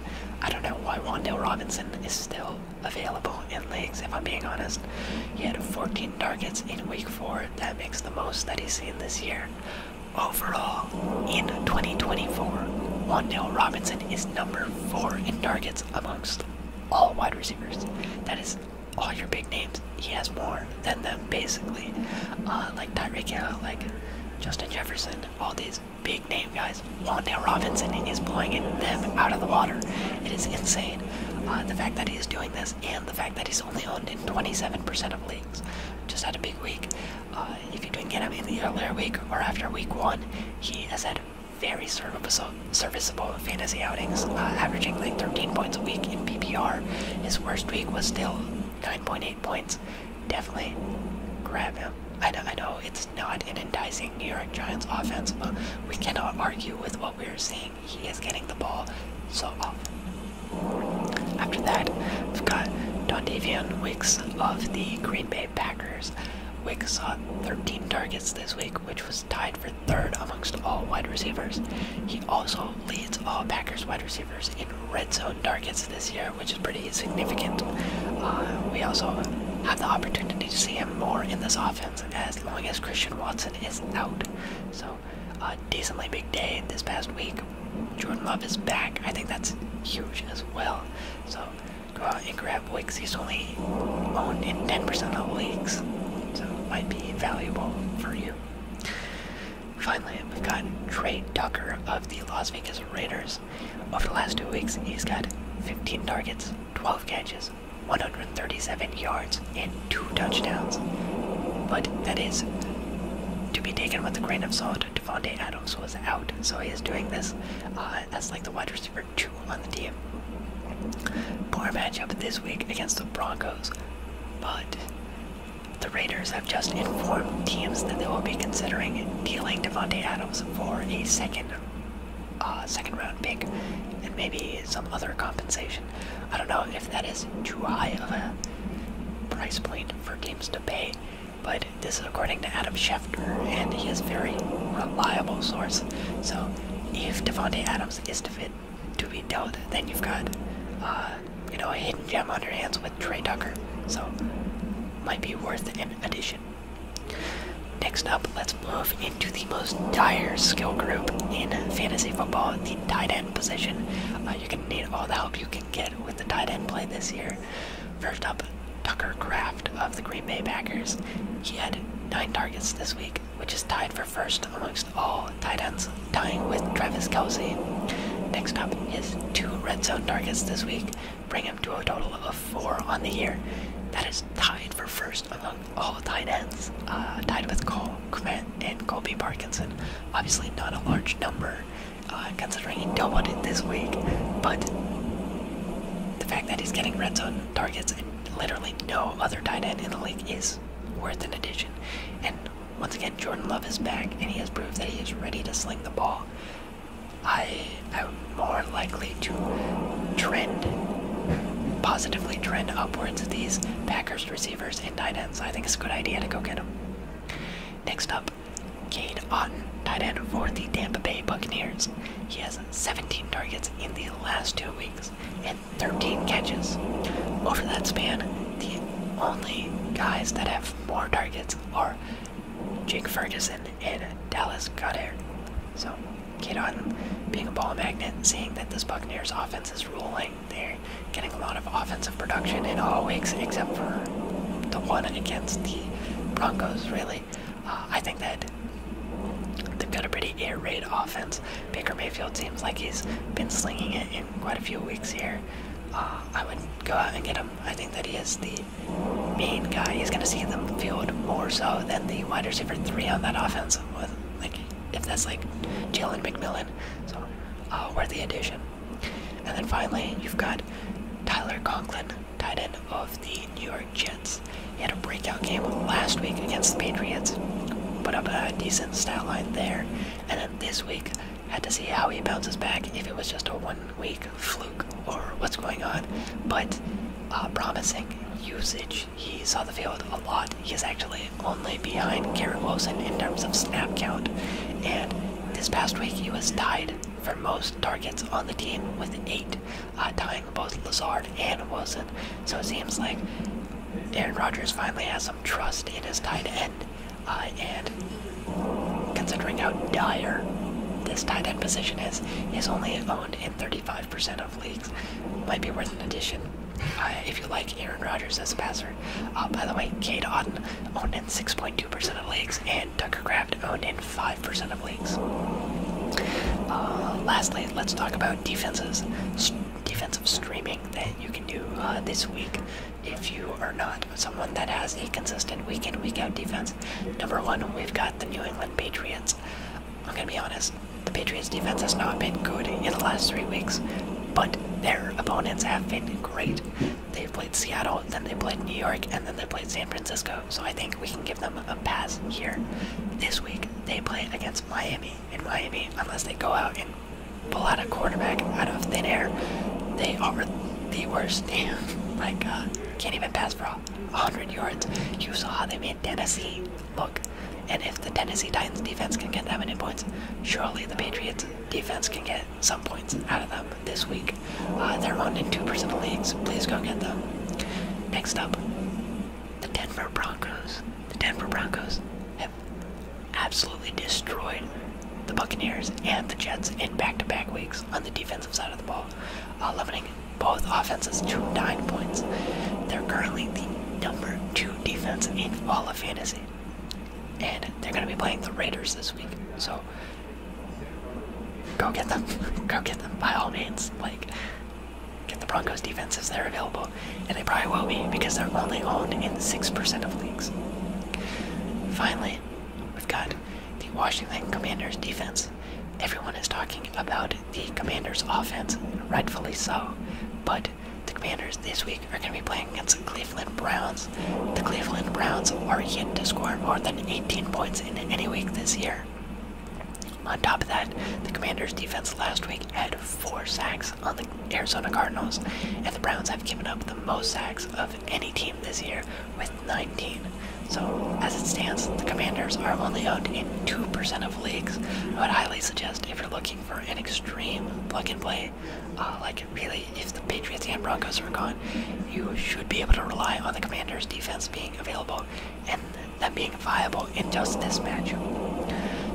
I don't know why Wondell Robinson is still available in leagues, if I'm being honest. He had 14 targets in week four. That makes the most that he's seen this year. Overall, in 2024, Wandale Robinson is number four in targets amongst all wide receivers. That is all your big names. He has more than them, basically. Uh, like Tyreek Hill, like Justin Jefferson, all these big name guys. Wandale Robinson is blowing them out of the water. It is insane. Uh, the fact that he's doing this and the fact that he's only owned in 27% of leagues just had a big week. Uh, if you didn't get him in the earlier week or after week one, he has had very serviceable, serviceable fantasy outings, uh, averaging like 13 points a week in PPR. His worst week was still 9.8 points. Definitely grab him. I know, it's not an enticing New York Giants offense, but we cannot argue with what we're seeing. He is getting the ball so after that, we've got Dondavian Wicks of the Green Bay Packers. Wicks saw 13 targets this week, which was tied for third amongst all wide receivers. He also leads all Packers wide receivers in red zone targets this year, which is pretty significant. Uh, we also have the opportunity to see him more in this offense as long as Christian Watson is out. So, a decently big day this past week Jordan Love is back. I think that's huge as well. So go out and grab Wicks. He's only owned in 10% of leagues, so it might be valuable for you. Finally, we've got Trey Ducker of the Las Vegas Raiders. Over the last two weeks, he's got 15 targets, 12 catches, 137 yards, and two touchdowns. But that is to be taken with a grain of salt. Devontae Adams was out, so he is doing this uh, as like the wide receiver two on the team. Poor matchup this week against the Broncos, but the Raiders have just informed teams that they will be considering dealing Devontae Adams for a second, uh, second round pick, and maybe some other compensation. I don't know if that is too high of a price point for to pay, but this is according to Adam Schefter, and he is a very reliable source. So if Devonte Adams is to fit to be dealt, then you've got uh, you know a hidden gem on your hands with Trey Tucker. So might be worth an addition. Next up, let's move into the most dire skill group in fantasy football, the tight end position. Uh, you can need all the help you can get with the tight end play this year. First up, Tucker Craft of the Green Bay Packers. He had nine targets this week, which is tied for first amongst all tight ends, tying with Travis Kelsey. Next up, is two red zone targets this week bring him to a total of four on the year. That is tied for first among all tight ends, uh, tied with Cole Komet and Colby Parkinson. Obviously, not a large number, uh, considering he doubled it this week. But the fact that he's getting red zone targets and literally no other tight end in the league is worth an addition. And once again, Jordan Love is back, and he has proved that he is ready to sling the ball. I am more likely to trend positively trend upwards these Packers receivers and tight ends. I think it's a good idea to go get them. Next up, Kade Otten, tight end for the Tampa Bay Buccaneers. He has 17 targets in the last two weeks and 13 catches. Over that span, the only guys that have more targets are Jake Ferguson and Dallas Goddard. So, Kade Otten being a ball magnet, seeing that this Buccaneers offense is rolling, there getting a lot of offensive production in all weeks except for the one against the Broncos, really. Uh, I think that they've got a pretty air raid offense. Baker Mayfield seems like he's been slinging it in quite a few weeks here. Uh, I would go out and get him. I think that he is the main guy. He's going to see the field more so than the wide receiver three on that offense. With like, if that's like Jalen McMillan, so uh, worth the addition. And then finally, you've got Tyler Conklin, tight end of the New York Jets. He had a breakout game last week against the Patriots, put up a decent stat line there. And then this week, had to see how he bounces back, if it was just a one-week fluke or what's going on. But uh, promising usage. He saw the field a lot. He is actually only behind Garrett Wilson in terms of snap count. And this past week, he was tied for most targets on the team with eight, uh, tying both Lazard and Wilson. So it seems like Aaron Rodgers finally has some trust in his tight end. Uh, and considering how dire this tight end position is, is only owned in 35% of leagues. Might be worth an addition. Uh, if you like Aaron Rodgers as a passer, uh, by the way, Kate Auden owned in 6.2% of leagues, and Tucker Craft owned in 5% of leagues. Uh, lastly, let's talk about defenses, defensive streaming that you can do uh, this week if you are not someone that has a consistent week in, week out defense. Number one, we've got the New England Patriots. I'm gonna be honest, the Patriots defense has not been good in the last three weeks, but their opponents have been great they played Seattle, then they played New York, and then they played San Francisco. So I think we can give them a pass here. This week they play against Miami, and Miami, unless they go out and pull out a quarterback out of thin air, they are the worst team. My God, can't even pass for 100 yards. You saw how they made Tennessee look. And if the Tennessee Titans defense can get that many points, surely the Patriots defense can get some points out of them this week. Uh, they're only two percent of leagues. Please go get them. Next up, the Denver Broncos. The Denver Broncos have absolutely destroyed the Buccaneers and the Jets in back-to-back weeks on the defensive side of the ball, uh, limiting both offenses to nine points. They're currently the number two defense in all of fantasy, and they're going to be playing the Raiders this week. So Go get them. Go get them by all means. Like, get the Broncos defenses; if they're available. And they probably will be because they're only owned in 6% of leagues. Finally, we've got the Washington Commanders defense. Everyone is talking about the Commanders offense, rightfully so. But the Commanders this week are going to be playing playing against the Cleveland Browns. The Cleveland Browns are yet to score more than 18 points in any week this year. On top of that, the Commanders' defense last week had four sacks on the Arizona Cardinals, and the Browns have given up the most sacks of any team this year with 19. So, as it stands, the Commanders are only owned in 2% of leagues. I would highly suggest if you're looking for an extreme plug and play Oh, like really, if the Patriots and Broncos are gone, you should be able to rely on the Commanders' defense being available and them being viable in just this matchup.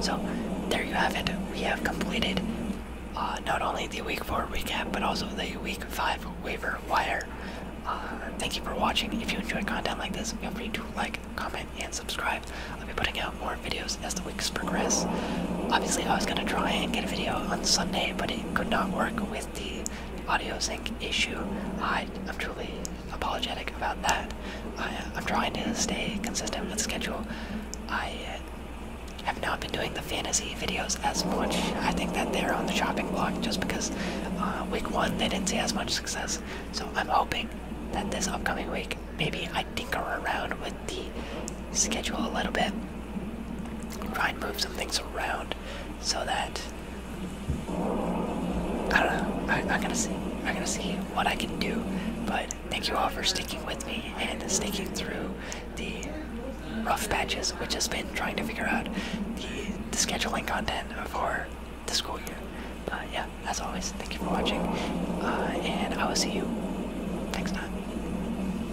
So there you have it. We have completed uh, not only the Week Four recap but also the Week Five waiver wire. Uh, thank you for watching. If you enjoyed content like this, feel free to like, comment, and subscribe. I'll be putting out more videos as the weeks progress. Obviously, I was gonna try and get a video on Sunday, but could not work with the audio sync issue. I am truly apologetic about that. I, am uh, trying to stay consistent with schedule. I uh, have not been doing the fantasy videos as much. I think that they're on the chopping block just because uh, week one they didn't see as much success. So I'm hoping that this upcoming week maybe I tinker around with the schedule a little bit try and move some things around so that I don't know. I, am gonna see. I'm gonna see what I can do. But thank you all for sticking with me and sticking through the rough patches, which has been trying to figure out the, scheduling content for the school year. But yeah, as always, thank you for watching, uh, and I will see you next time.